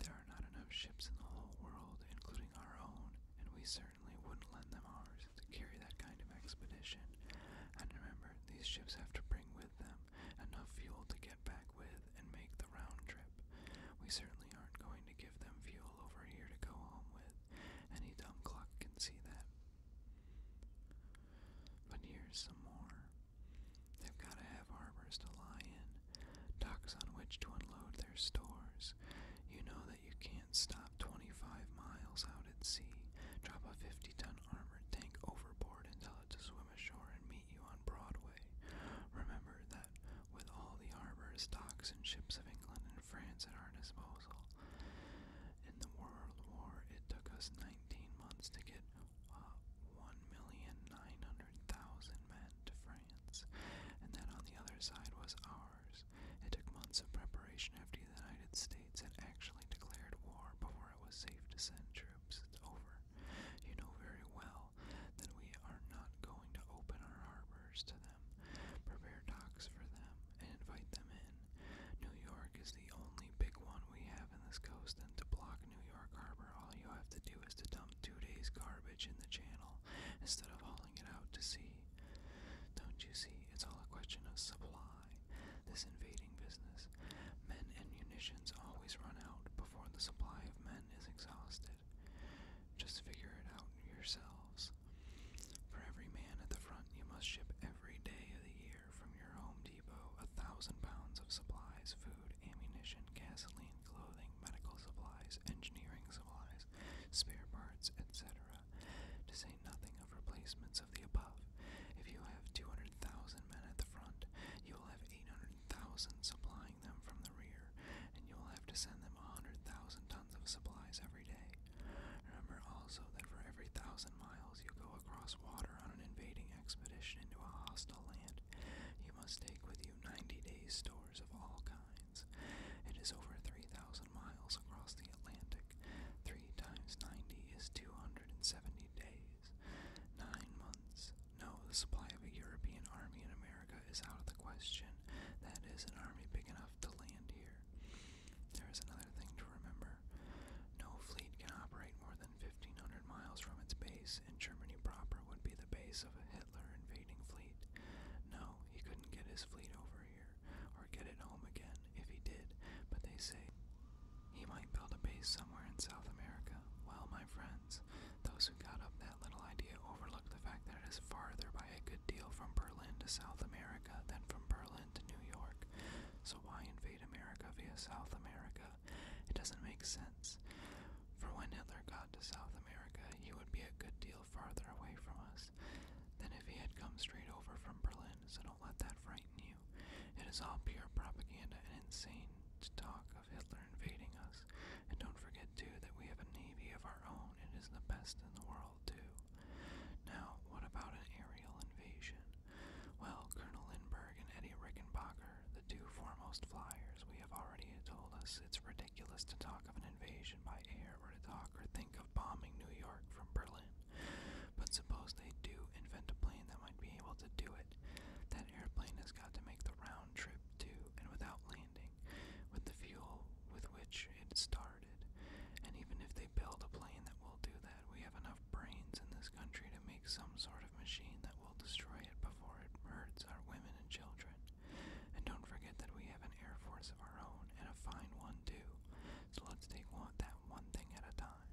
There are not enough ships in the whole world, including our own, and we certainly certainly wouldn't lend them ours to carry that kind of expedition. And remember, these ships have to bring with them enough fuel to get back with and make the round trip. We certainly aren't going to give them fuel over here to go home with. Any dumb clock can see that. But here's some more. They've got to have harbors to lie in, docks on which to unload their stores. You know that you can't and stop 25 miles out at sea. Drop a 50 ton armored tank overboard and tell it to swim ashore and meet you on Broadway. Remember that with all the harbors, docks, and ships of England and France at our disposal. In the World War, it took us 19 months to get uh, 1,900,000 men to France, and that on the other side was our. Mars. It took months of preparation after the United States had actually declared war before it was safe to send troops. It's over. You know very well that we are not going to open our harbors to them, prepare docks for them, and invite them in. New York is the only big one we have in this coast, and to block New York Harbor, all you have to do is to dump two days' garbage in the channel instead of hauling it out to sea. Don't you see? It's all a question of supply. This invading business. Men and munitions always run out before the supply of men is exhausted. Just figure it out yourselves. For every man at the front, you must ship every day of the year from your Home Depot a thousand pounds of supplies, food, ammunition, gasoline, clothing, medical supplies, engineering supplies, spare parts, etc to say nothing of replacements of the above. If you have 200,000 men at the front, you will have 800,000 supplying them from the rear, and you will have to send them 100,000 tons of supplies every day. Remember also that for every thousand miles you go across water on an invading expedition into a hostile land, you must take with you 90 days' stores of all kinds. It is over 3,000 miles across the Atlantic. 3 times 90 is 270 days. 9 months. No, the supply of a European army in America is out of the question. That is, an army big enough to land here. There is another thing to remember. No fleet can operate more than 1,500 miles from its base, and Germany proper would be the base of a Hitler invading fleet. No, he couldn't get his fleet over here here or get it home again if he did, but they say he might build a base somewhere in South America. Well, my friends, those who got up that little idea overlooked the fact that it is farther by a good deal from Berlin to South America than from Berlin to New York. So why invade America via South America? It doesn't make sense. For when Hitler got to South America, he would be a good deal farther away from us than if he had come straight over from Berlin, so don't let that frighten you. It is all pure propaganda and insane to talk of Hitler invading us. And don't forget, too, that we have a navy of our own. It is the best in the world, too. Now, what about an aerial invasion? Well, Colonel Lindbergh and Eddie Rickenbacker, the two foremost flyers, we have already told us it's ridiculous to talk of an invasion by air or to talk or think bombing New York from Berlin. But suppose they do invent a plane that might be able to do it. That airplane has got to make the round trip too, and without landing, with the fuel with which it started. And even if they build a plane that will do that, we have enough brains in this country to make some sort of machine that will destroy it before it hurts our women and children. And don't forget that we have an Air Force of our own, and a fine one too, so let's take one, that one thing at a time.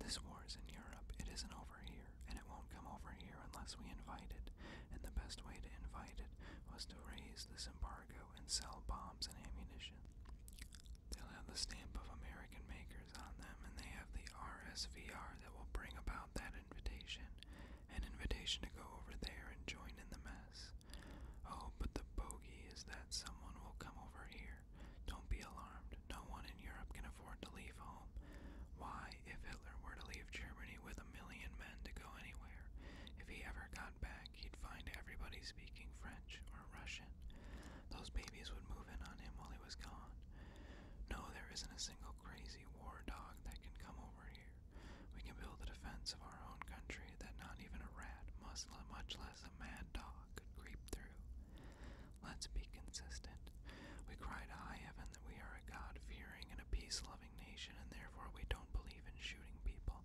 This war is in Europe, it isn't over here, and it won't come over here unless we invite it, and the best way to invite it was to raise this embargo and sell bombs and ammunition. They'll have the stamp of American makers on them, and they have the RSVR that will bring about that invitation an invitation to go over there and join in the mess. Oh, but the bogey is that someone will come over here. Don't be alarmed. No one in Europe can afford to leave home. Why, if Hitler were to leave Germany with a million men to go anywhere, if he ever got back, he'd find everybody speaking French or Russian. Those babies would move in on him while he was gone. No, there isn't a single crazy war dog that can come over here here. We can build a defense of our own country that not even a rat, Muslim, much less a mad dog, could creep through. Let's be consistent. We cry to high heaven that we are a God fearing and a peace loving nation, and therefore we don't believe in shooting people,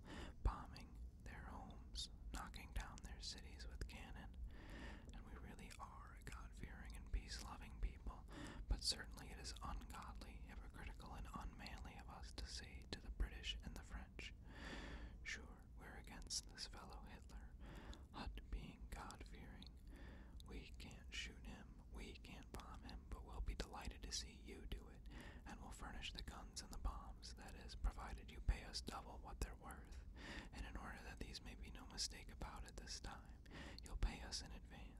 bombing their homes, knocking down their cities with cannon. And we really are a God fearing and peace loving people, but certainly it is ungodly, hypocritical, and unfair unmanly of us to say to the British and the French, Sure, we're against this fellow Hitler, Hut being God fearing. We can't shoot him, we can't bomb him, but we'll be delighted to see you do it, and we'll furnish the guns and the bombs, that is, provided you pay us double what they're worth. And in order that these may be no mistake about at this time, you'll pay us in advance.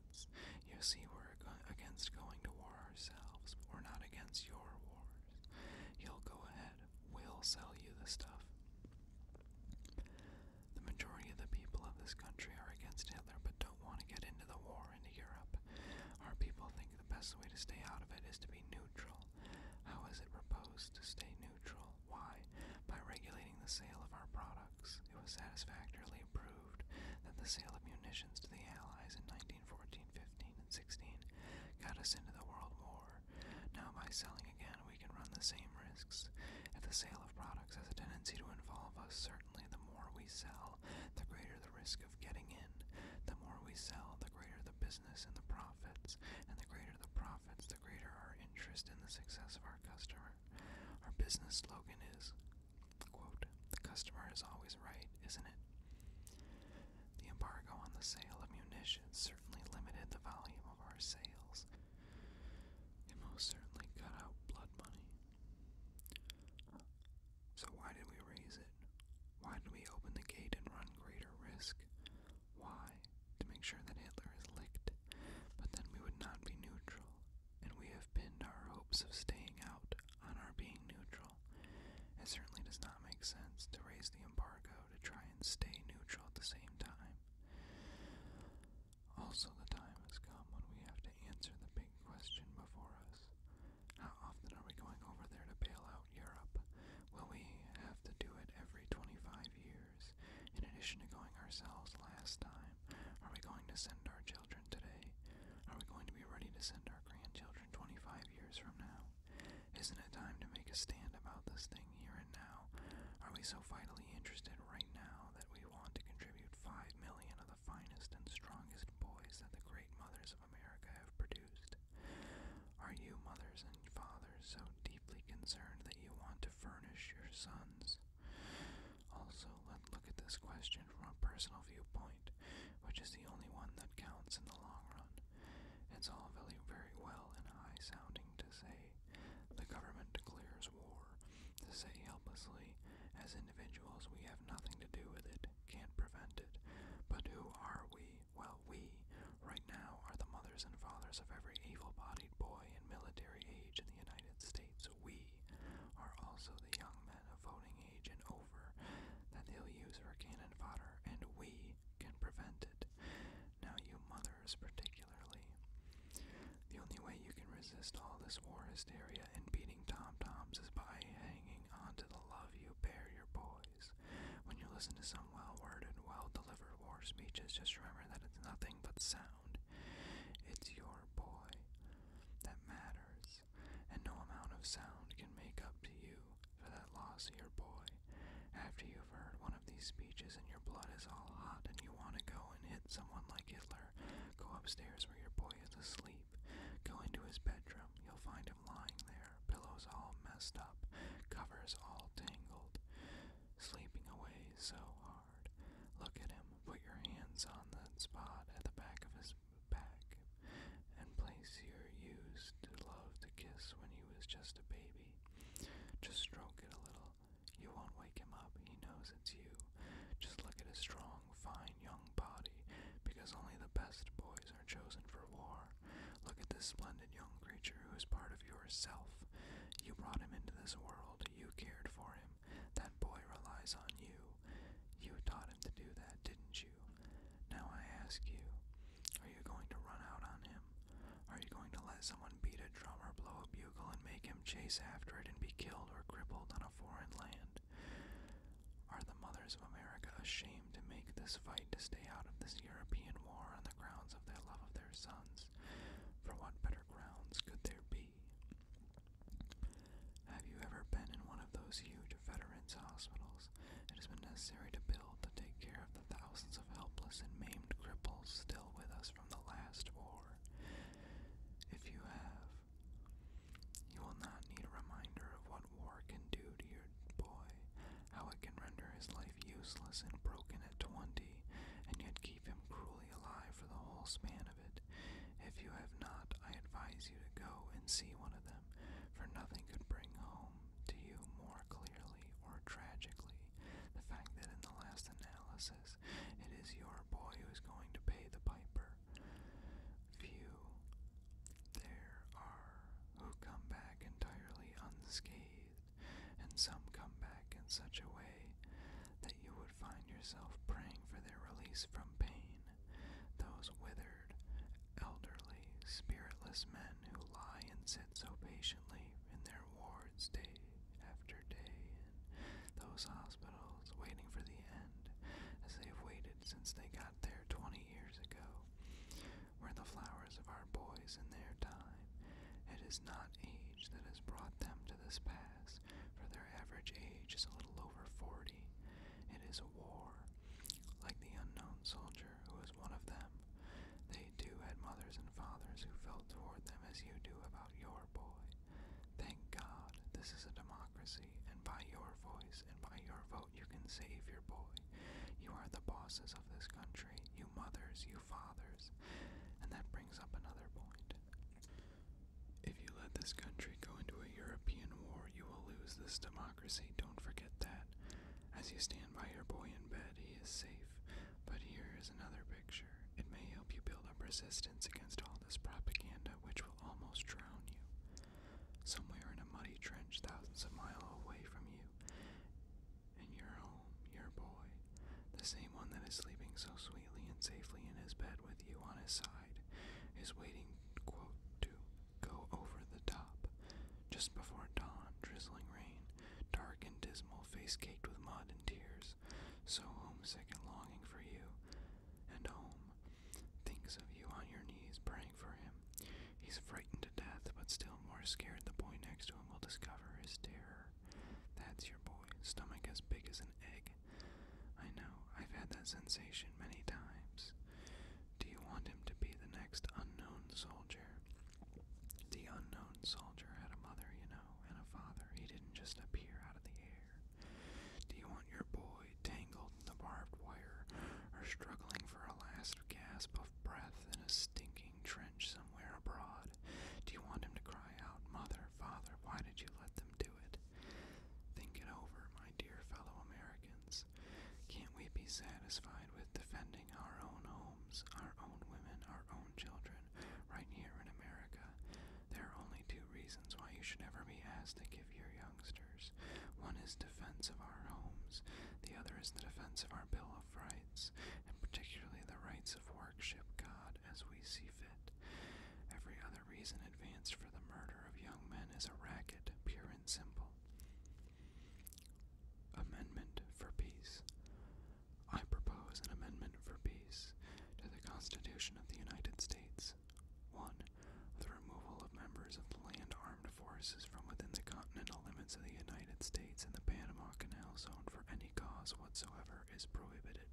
You see, we're against going to war ourselves. We're not against your wars. You'll go ahead. We'll sell you the stuff. The majority of the people of this country are against Hitler but don't want to get into the war in Europe. Our people think the best way to stay out of it is to be neutral. How is it proposed to stay neutral? Why? By regulating the sale of our products. It was satisfactorily proved proved that the sale of munitions to the Allies in 1914, 15, and 16 got us into the World War. Now, by selling again, we can run the same risks. If the sale of products has a tendency to involve us, certainly the more we sell, the greater the risk of getting in. The more we sell, the greater the business and the profits, and the greater the profits, the greater our interest in the success of our customer. Our business slogan is the customer is always right, isn't it? The embargo on the sale of munitions certainly limited the volume of our sales. It most certainly cut out blood money. So, why did we raise it? Why did we open the gate and run greater risk? Why? To make sure that Hitler is licked, but then we would not be neutral and we have pinned our hopes of staying out on our being neutral. It certainly does not make sense to raise the embargo to try and stay neutral at the same time. Also, the time has come when we have to answer the big question before us. How often are we going over there to bail out Europe? Will we have to do it every 25 years? In addition to going ourselves last time, are we going to send our children today? Are we going to be ready to send our grandchildren 25 years from now? Isn't it time to make a stand about this thing here and now? Are we so vitally interested right now that we want to contribute 5 million of the finest and strongest boys that the great mothers of America have produced? Are you mothers and fathers so deeply concerned that you want to furnish your sons? Also, let look at this question from a personal viewpoint, which is the only one that counts in the long run. It's all really very well and high sounding to say the government declares war, to say helplessly, as individuals, we have nothing to do with it, can't prevent it. But who are we? Well, we, right now, are the mothers and fathers of every able bodied boy in military age in the United States. We Lee are also the young men of voting age and over that they'll use for cannon fodder, and we can prevent it. Now, you mothers, particularly. The only way you can resist all this war hysteria and beating tom toms is by hanging on to the love you bear your boys. When you listen to some well worded, well delivered war speeches, just remember that it's nothing but sound. It's your boy that matters loss, and no amount of sound can make up to you for that loss, dear boy. After you've heard one of these speeches and your blood is all hot and you want to go and hit someone like Hitler, go upstairs where your boy is asleep. Go into his bedroom. You'll find him lying there, pillows all messed up, covers all tangled, sleeping away so hard. Look at him. Put your hands on that spot at the back of his back and place here used to love to kiss when he was just a baby. Just stroke it a little. You won't wake him up. He knows it's you. Just look at his strong, fine young body, because only the best boys are chosen for war. Look at this splendid young creature who is part of yourself. You brought him into this world. You cared for him. That boy relies on you. You taught him to do that, didn't you? Now I ask you, are you going to run out on him? Are you going to let someone beat a drum or blow a bugle and make him chase after it and be killed or crippled on a foreign land? Are the mothers of America ashamed to make this fight to stay out of this European war on the grounds of their love of their sons? For what better grounds could there be? Have you ever been in one of those huge veterans' hospitals? It has been necessary to build to take care of the thousands of helpless and maimed cripples still with us from the last war. If you have, you will not need a reminder of what war can do to your boy, how it can render his life useless and broken at twenty, and yet keep him cruelly alive for the whole span if you have not, I advise you to go and see one of them, for nothing could bring home to you more clearly or tragically the fact that in the last analysis it is your boy who is going to pay the piper. Few there are who come back entirely unscathed, and some come back in such a way that you would find yourself praying for their release from pain those withered, elderly, spiritless men who lie and sit so patiently in their wards day after day in those hospitals waiting for the end, as they have waited since they got there twenty years ago, were the flowers of our boys in their time. It is not age that has brought them to this pass, for their average age is a little over forty, it is a war. Like the unknown soldier who was one of them, they too had mothers and fathers who felt toward them as you do about your boy. Thank God this is a democracy, and by your voice and by your vote you can save your boy. You are the bosses of this country, you mothers, you fathers. And that brings up another point. If you let this country go into a European war, you will lose this democracy. Don't forget that. As you stand by your boy in bed, he is safe. But here is another picture. It may help you build up resistance against all this propaganda, which will almost drown you. Somewhere in a muddy trench thousands of miles away from you, and your home, your boy, the same one that is sleeping so sweetly and safely in his bed with you on his side, is waiting to go over the top. Just before dawn, drizzling rain, dark and dismal, face caked with mud and tears, so homesick and longing for you, and home. Thinks of you on your knees, praying for him. He's frightened to death, but still more scared the boy next to him will discover his terror. That's your boy, stomach as big as an egg, I know, I've had that sensation many times. Do you want him to be the next unknown soldier? The unknown soldier had a mother, you know, and a father. He didn't just appear out of the air. Do you want your boy tangled in the barbed wire or struggling for a last gasp of breath in a stinking trench somewhere abroad? Do you want him to cry out, Mother, Father, why did you let them do do Think it over, my dear fellow Americans. Can't we be satisfied with defending our own homes, our own women, our own children, right here in America? There are only two reasons why you should ever be asked to give your youngsters. One is defense of our homes, the other is the defense of our Bill of Rights, and particularly the rights of worship God as we see fit. Every other the reason advanced for the murder of young men is a racket, pure and simple. Amendment for Peace. I propose an amendment for peace to the Constitution of the United States. 1. The removal of members of the land armed forces from within the continental limits of the United States and the Panama Canal Zone for any cause whatsoever is prohibited.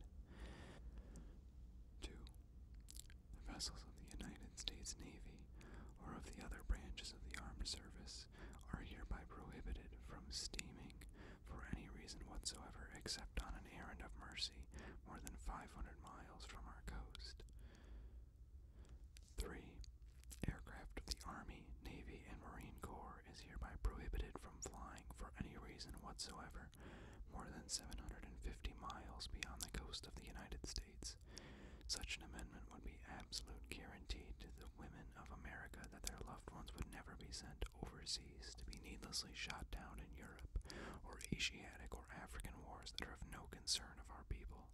2. The vessels of the United States Navy or of the other branches of the armed service are hereby prohibited from steaming for any reason whatsoever except on an errand of mercy more than 500 miles from our coast. 3. Aircraft of the Army, Navy, and Marine Corps is hereby prohibited from flying for any reason whatsoever more than 750 miles beyond the coast of the United States. Such an amendment would be absolute guarantee to the women of America that their loved ones would never be sent overseas to be needlessly shot down in Europe or Asiatic or African wars that are of no concern of our people.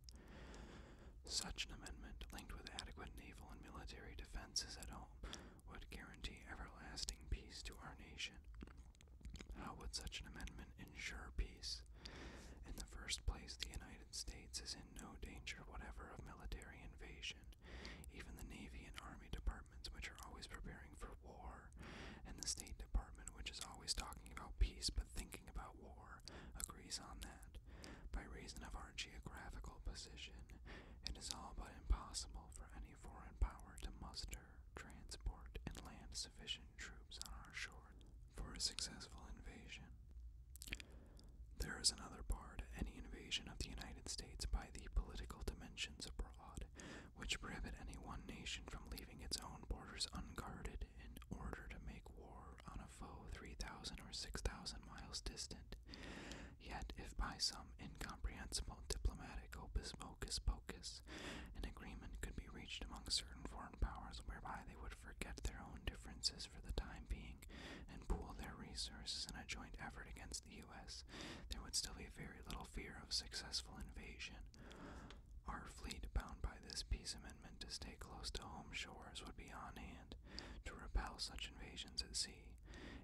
Such an amendment, linked with adequate naval and military defenses at home, would guarantee everlasting peace to our nation. How would such an amendment ensure peace? In the first place, the United States is in no danger whatever of military invasion. Even the Navy and Army departments, which are always preparing for war, and the State Department, which is always talking about peace but thinking about war, agrees on that. By reason of our geographical position, it is all but impossible for any foreign power to muster, transport, and land sufficient troops on our shores for a successful invasion. There is another bar to any invasion of the United States by the political dimensions abroad, which prohibit any one nation from leaving its own borders unguarded in order to make war on a foe 3,000 or 6,000 miles distant. Yet, if by some incomprehensible diplomatic hocus pocus peace. An agreement could be reached among certain foreign powers whereby they would forget their own differences for the time being and pool their resources in a joint effort against the U.S. There would still be very little fear of successful invasion. Our fleet, bound by this peace amendment to stay close to home shores, would be on hand to repel such invasions at sea.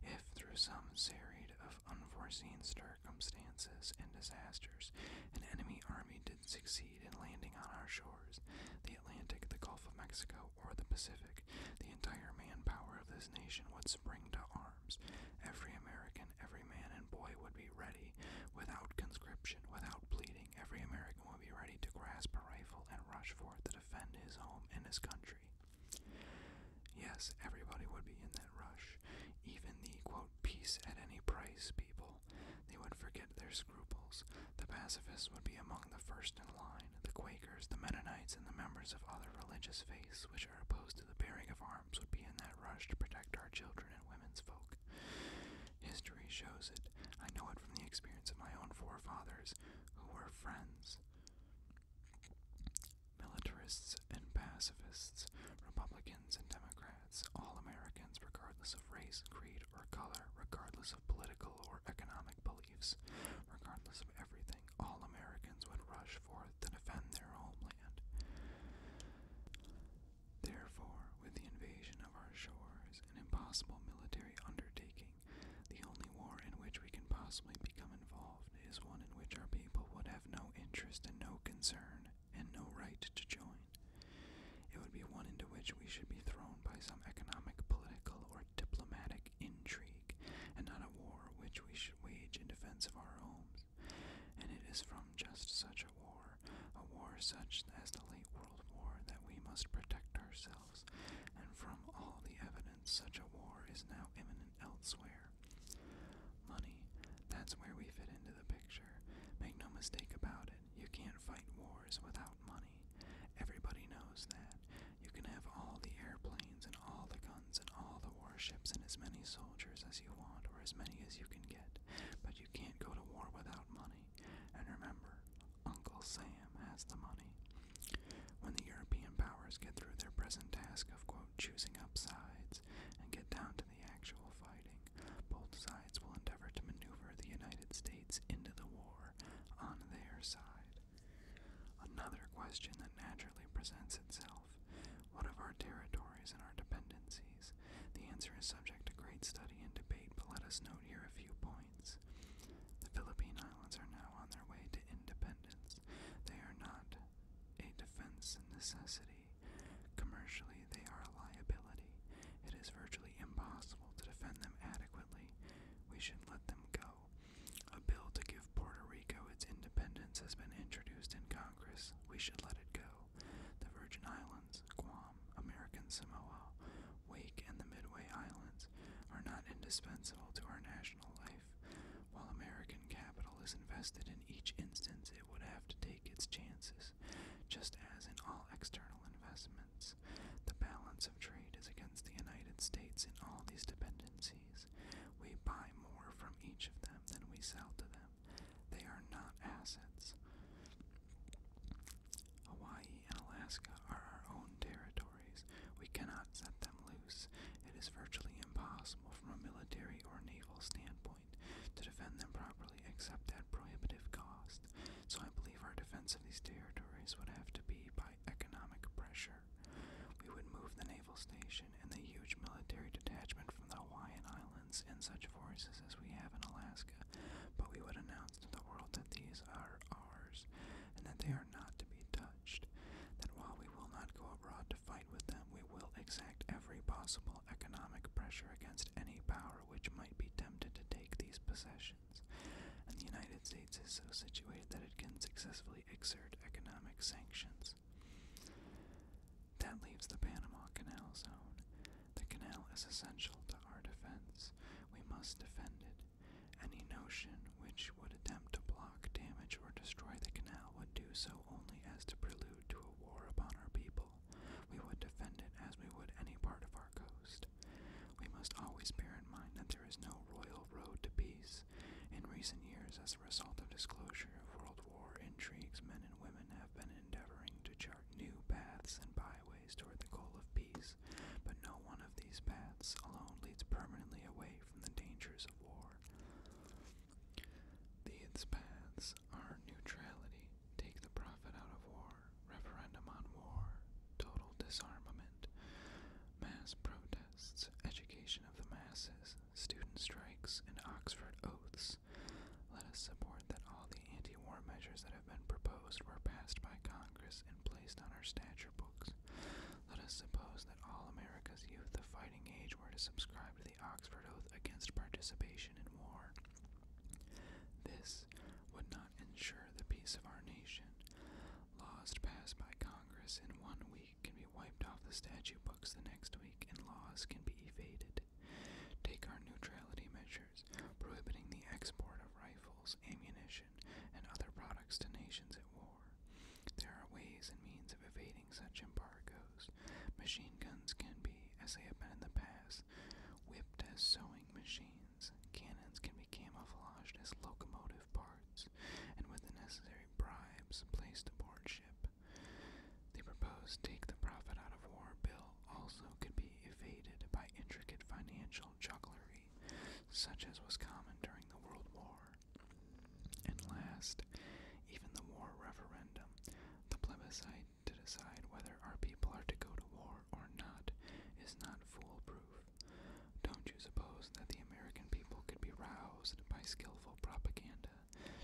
If, through some serried of unforeseen stir circumstances and disasters, an enemy army did succeed in landing on our shores. The Atlantic, the Gulf of Mexico, or the Pacific, the entire manpower of this nation would spring to arms. Every American, every man and boy would be ready, without conscription, without pleading, every American would be ready to grasp a rifle and rush forth to defend his home and his country. Yes, everybody would be in that rush. Even the, quote, peace at any price people they would forget their scruples. The pacifists would be among the first in line, the Quakers, the Mennonites, and the members of other religious faiths which are opposed to the bearing of arms would be in that rush to protect our children and women's folk. History shows it. I know it from the experience of my own forefathers, who were friends. Militarists and pacifists, Republicans and Democrats all Americans, regardless of race, creed, or color, regardless of political or economic beliefs, regardless of everything, all Americans would rush forth to defend their homeland. Therefore, with the invasion of our shores, an impossible military undertaking, the only war in which we can possibly become involved is one in which our people would have no interest and no concern and no right to join. It would be one into which we should be thrown by some economic, political, or diplomatic intrigue, and not a war which we should wage in defense of our homes. And it is from just such a war, a war such as the late World War, that we must protect ourselves, and from all the evidence, such a war is now imminent elsewhere. Money, that's where we fit into into the picture. Make no mistake about it, you can't fight wars without money. Everybody knows that. You can have all the airplanes and all the guns and all the warships and as many soldiers as you want or as many as you can get, but you can't go to war without money. And remember, Uncle Sam has the money. When the European powers get through their present task of, quote, choosing up sides and get down to the actual fighting. Both sides will endeavor to maneuver the United States into the war on their side. Another question that naturally presents itself What of our territories and our dependencies? The answer is subject to great study and debate, but let us note here a few points. The Philippine Islands are now on their way to independence. They are not a defense necessity way. Commercially, they are a liability. It is virtually impossible to defend them adequately. We should let them go. A bill to give Puerto Rico its independence has been introduced in Congress. We should let it go. The Virgin Islands, Guam, American Samoa, Wake, and the Midway Islands are not indispensable to our national life. While American capital is invested in each instance, it would have to take its chances risks. Just as in all external investments, the balance of trade is against the United States in all these dependencies. We buy more from each of them than we sell to them. They are not assets. Hawaii and Alaska are our own territories. We cannot set them loose. It is virtually impossible from a military or naval standpoint to defend them properly except at prohibitive cost. So I believe our defense of these territories would have to be by economic pressure. We would move the naval station and the huge military detachment from the Hawaiian Islands and such forces as we have in Alaska, but we would announce to the world that these are ours and that they are not to be touched. That while we will not go abroad to fight with them, we will exact every possible economic pressure against any power which might be tempted to take these possessions, and the United States is so situated that it can successfully exert economic sanctions. That leaves the Panama Canal Zone. The canal is essential to our defense. We must defend it. Any notion which would attempt to block, damage, or destroy the canal would do so only as to prelude to a war upon our people. We would defend it as we would any part of our coast. We must always bear in mind that there is no royal road to peace. In recent years, as a result of disclosure of World War intrigues, men and women have been endeavoring to chart new paths and byways toward the goal of peace, but no one of these paths alone leads permanently away from the dangers of war. These paths Practice our neutrality. Take the profit out of war. Referendum on war. Total disarmament. Mass protests. Education of the masses. Student strikes. And Oxford oaths. Let us support that all the anti war measures that have been proposed were passed by Congress and placed on our statute books. Let us suppose that all America's youth of fighting age were to subscribe to the Oxford Oath against participation in war. This would not ensure the peace of our nation. Laws passed by Congress in one week can be wiped off the statute books the next week, and laws can be evaded. Take our neutrality measures, prohibiting the export of rifles, ammunition, and other products to nations at war. There are ways and means of evading such embargoes arrows. Machine guns can be, as they have been in the past, whipped as sewing machines. Cannons can be camouflaged as locomotive parts, and with the necessary bribes placed aboard ship. The proposed Take the Profit Out of War bill also could be evaded by intricate financial jugglery, such as was common during the World War. And last, even the war referendum, the plebiscite to decide whether our people are to go to war or not is not foolproof. Don't you suppose that the American people could be roused by skillful propaganda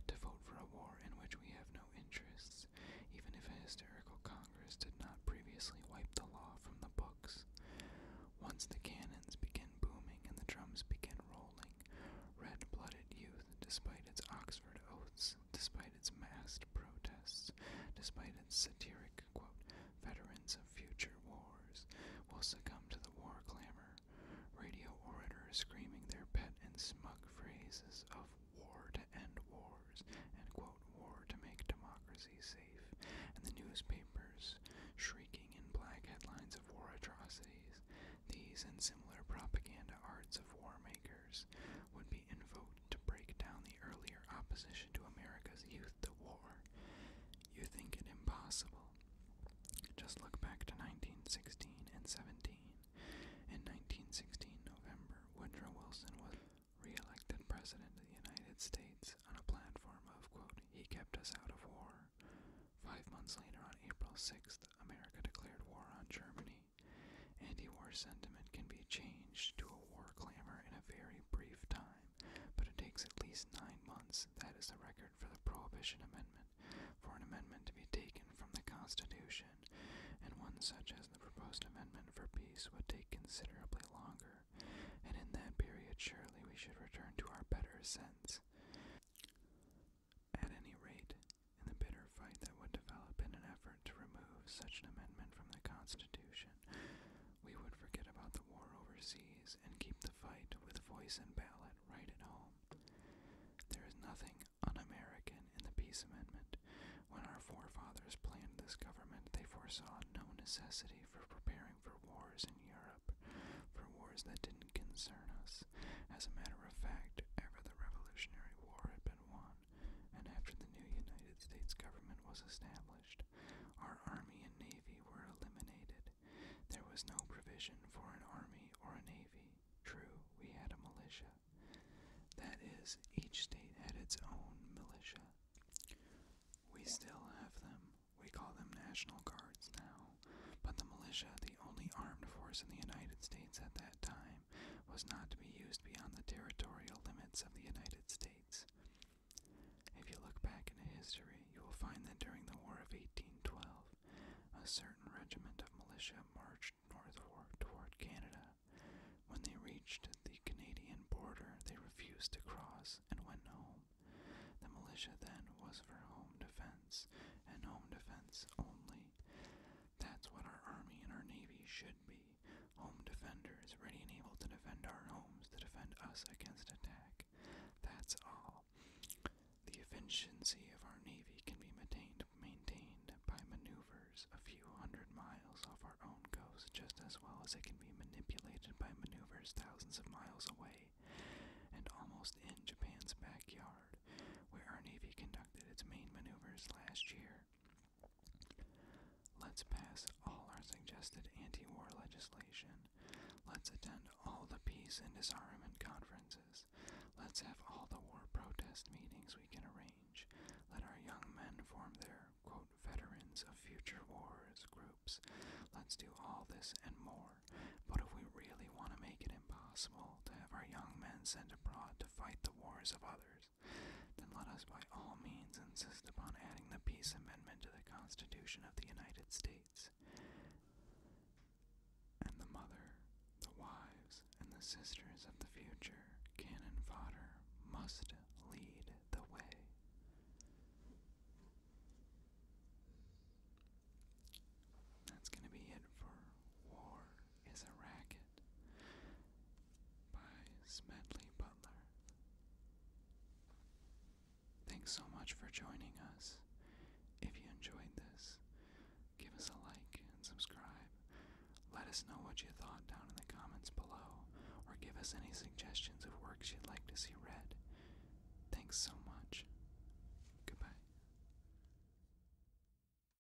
to vote for a war in which we have no interests, even if a hysterical Congress did not previously wipe the law from the books? Once the cannons begin booming and the drums begin rolling, red blooded youth, despite its Oxford oaths, despite its massed protests, despite its satiric quote, veterans of future wars, will succumb to the war clamor, radio orators screaming their pet and smug phrases of war to end wars and quote, war to make democracy safe, and the newspapers shrieking in black headlines of war atrocities. These and similar propaganda arts of war makers would be be to break down the earlier opposition to America's youth to war. You think it impossible. Just look back to 1916 and 17. In 1916 November, Woodrow Wilson was re-elected President of the United States on a platform of, quote, he kept us out of war. Five months later, on April 6th, America declared war on Germany. Anti-war sentiment can be changed to a war clamor in a very brief time, but it takes at least nine months, that is the record for the Prohibition Amendment, for an amendment to be taken from the Constitution, and one such as the proposed amendment for peace would take considerably longer, and in that period surely we should return to our better sense. At any rate, in the bitter fight that would develop in an effort to remove such an amendment from the Constitution, we would forget about the war overseas and keep the fight with voice and ballot right at home. There is nothing un American in the Peace Amendment. When our forefathers planned this government, they foresaw no necessity for preparing for wars in Europe, for wars that didn't concern us. As a matter of fact, ever the Revolutionary War had been won, and after the new United States government was established, our Army and Navy were eliminated. There was no provision for an Army or a Navy. True, we had a militia. That is, each state had its own militia. We still have them. We call them National Guards now. But the militia, the only armed force in the United States at that time, was not to be used beyond the territorial limits of the United States. If you look back into history, you will find that during the War of 1812, a certain regiment of militia marched northward toward Canada. When they reached the Canadian border, they refused to cross and went home. The militia then was for home defense and home defense only. That's what our Army and our Navy should be home defenders, ready and able to defend our homes, to defend us against attack. That's all. The efficiency of our Navy can be maintained, by maneuvers a few hundred miles off our own coast, just as well as it can be manipulated by maneuvers thousands of miles away and almost in Japan's backyard, where our Navy conducted its main maneuvers last year. Let's pass all our suggested anti war legislation. Let's attend all the peace and disarmament conferences. Let's have all the war protest meetings we can arrange. Let our young men form their, veterans of future wars groups. Let's do all this and more. But if we really want to make it impossible to have our young men sent abroad to fight the wars of others, then let us by all means insist upon adding the peace amendment to the Constitution of the United States. And the mothers, the wives, and the sisters of the future, cannon fodder, must lead the way. That's going to be it for War is a Racket by Smedley Butler. Thanks so much for joining us. If you enjoyed this, give us a like and subscribe. Let us know what you thought down in the comments below, or give us any suggestions of works you'd like to see read. Thanks so much. Goodbye.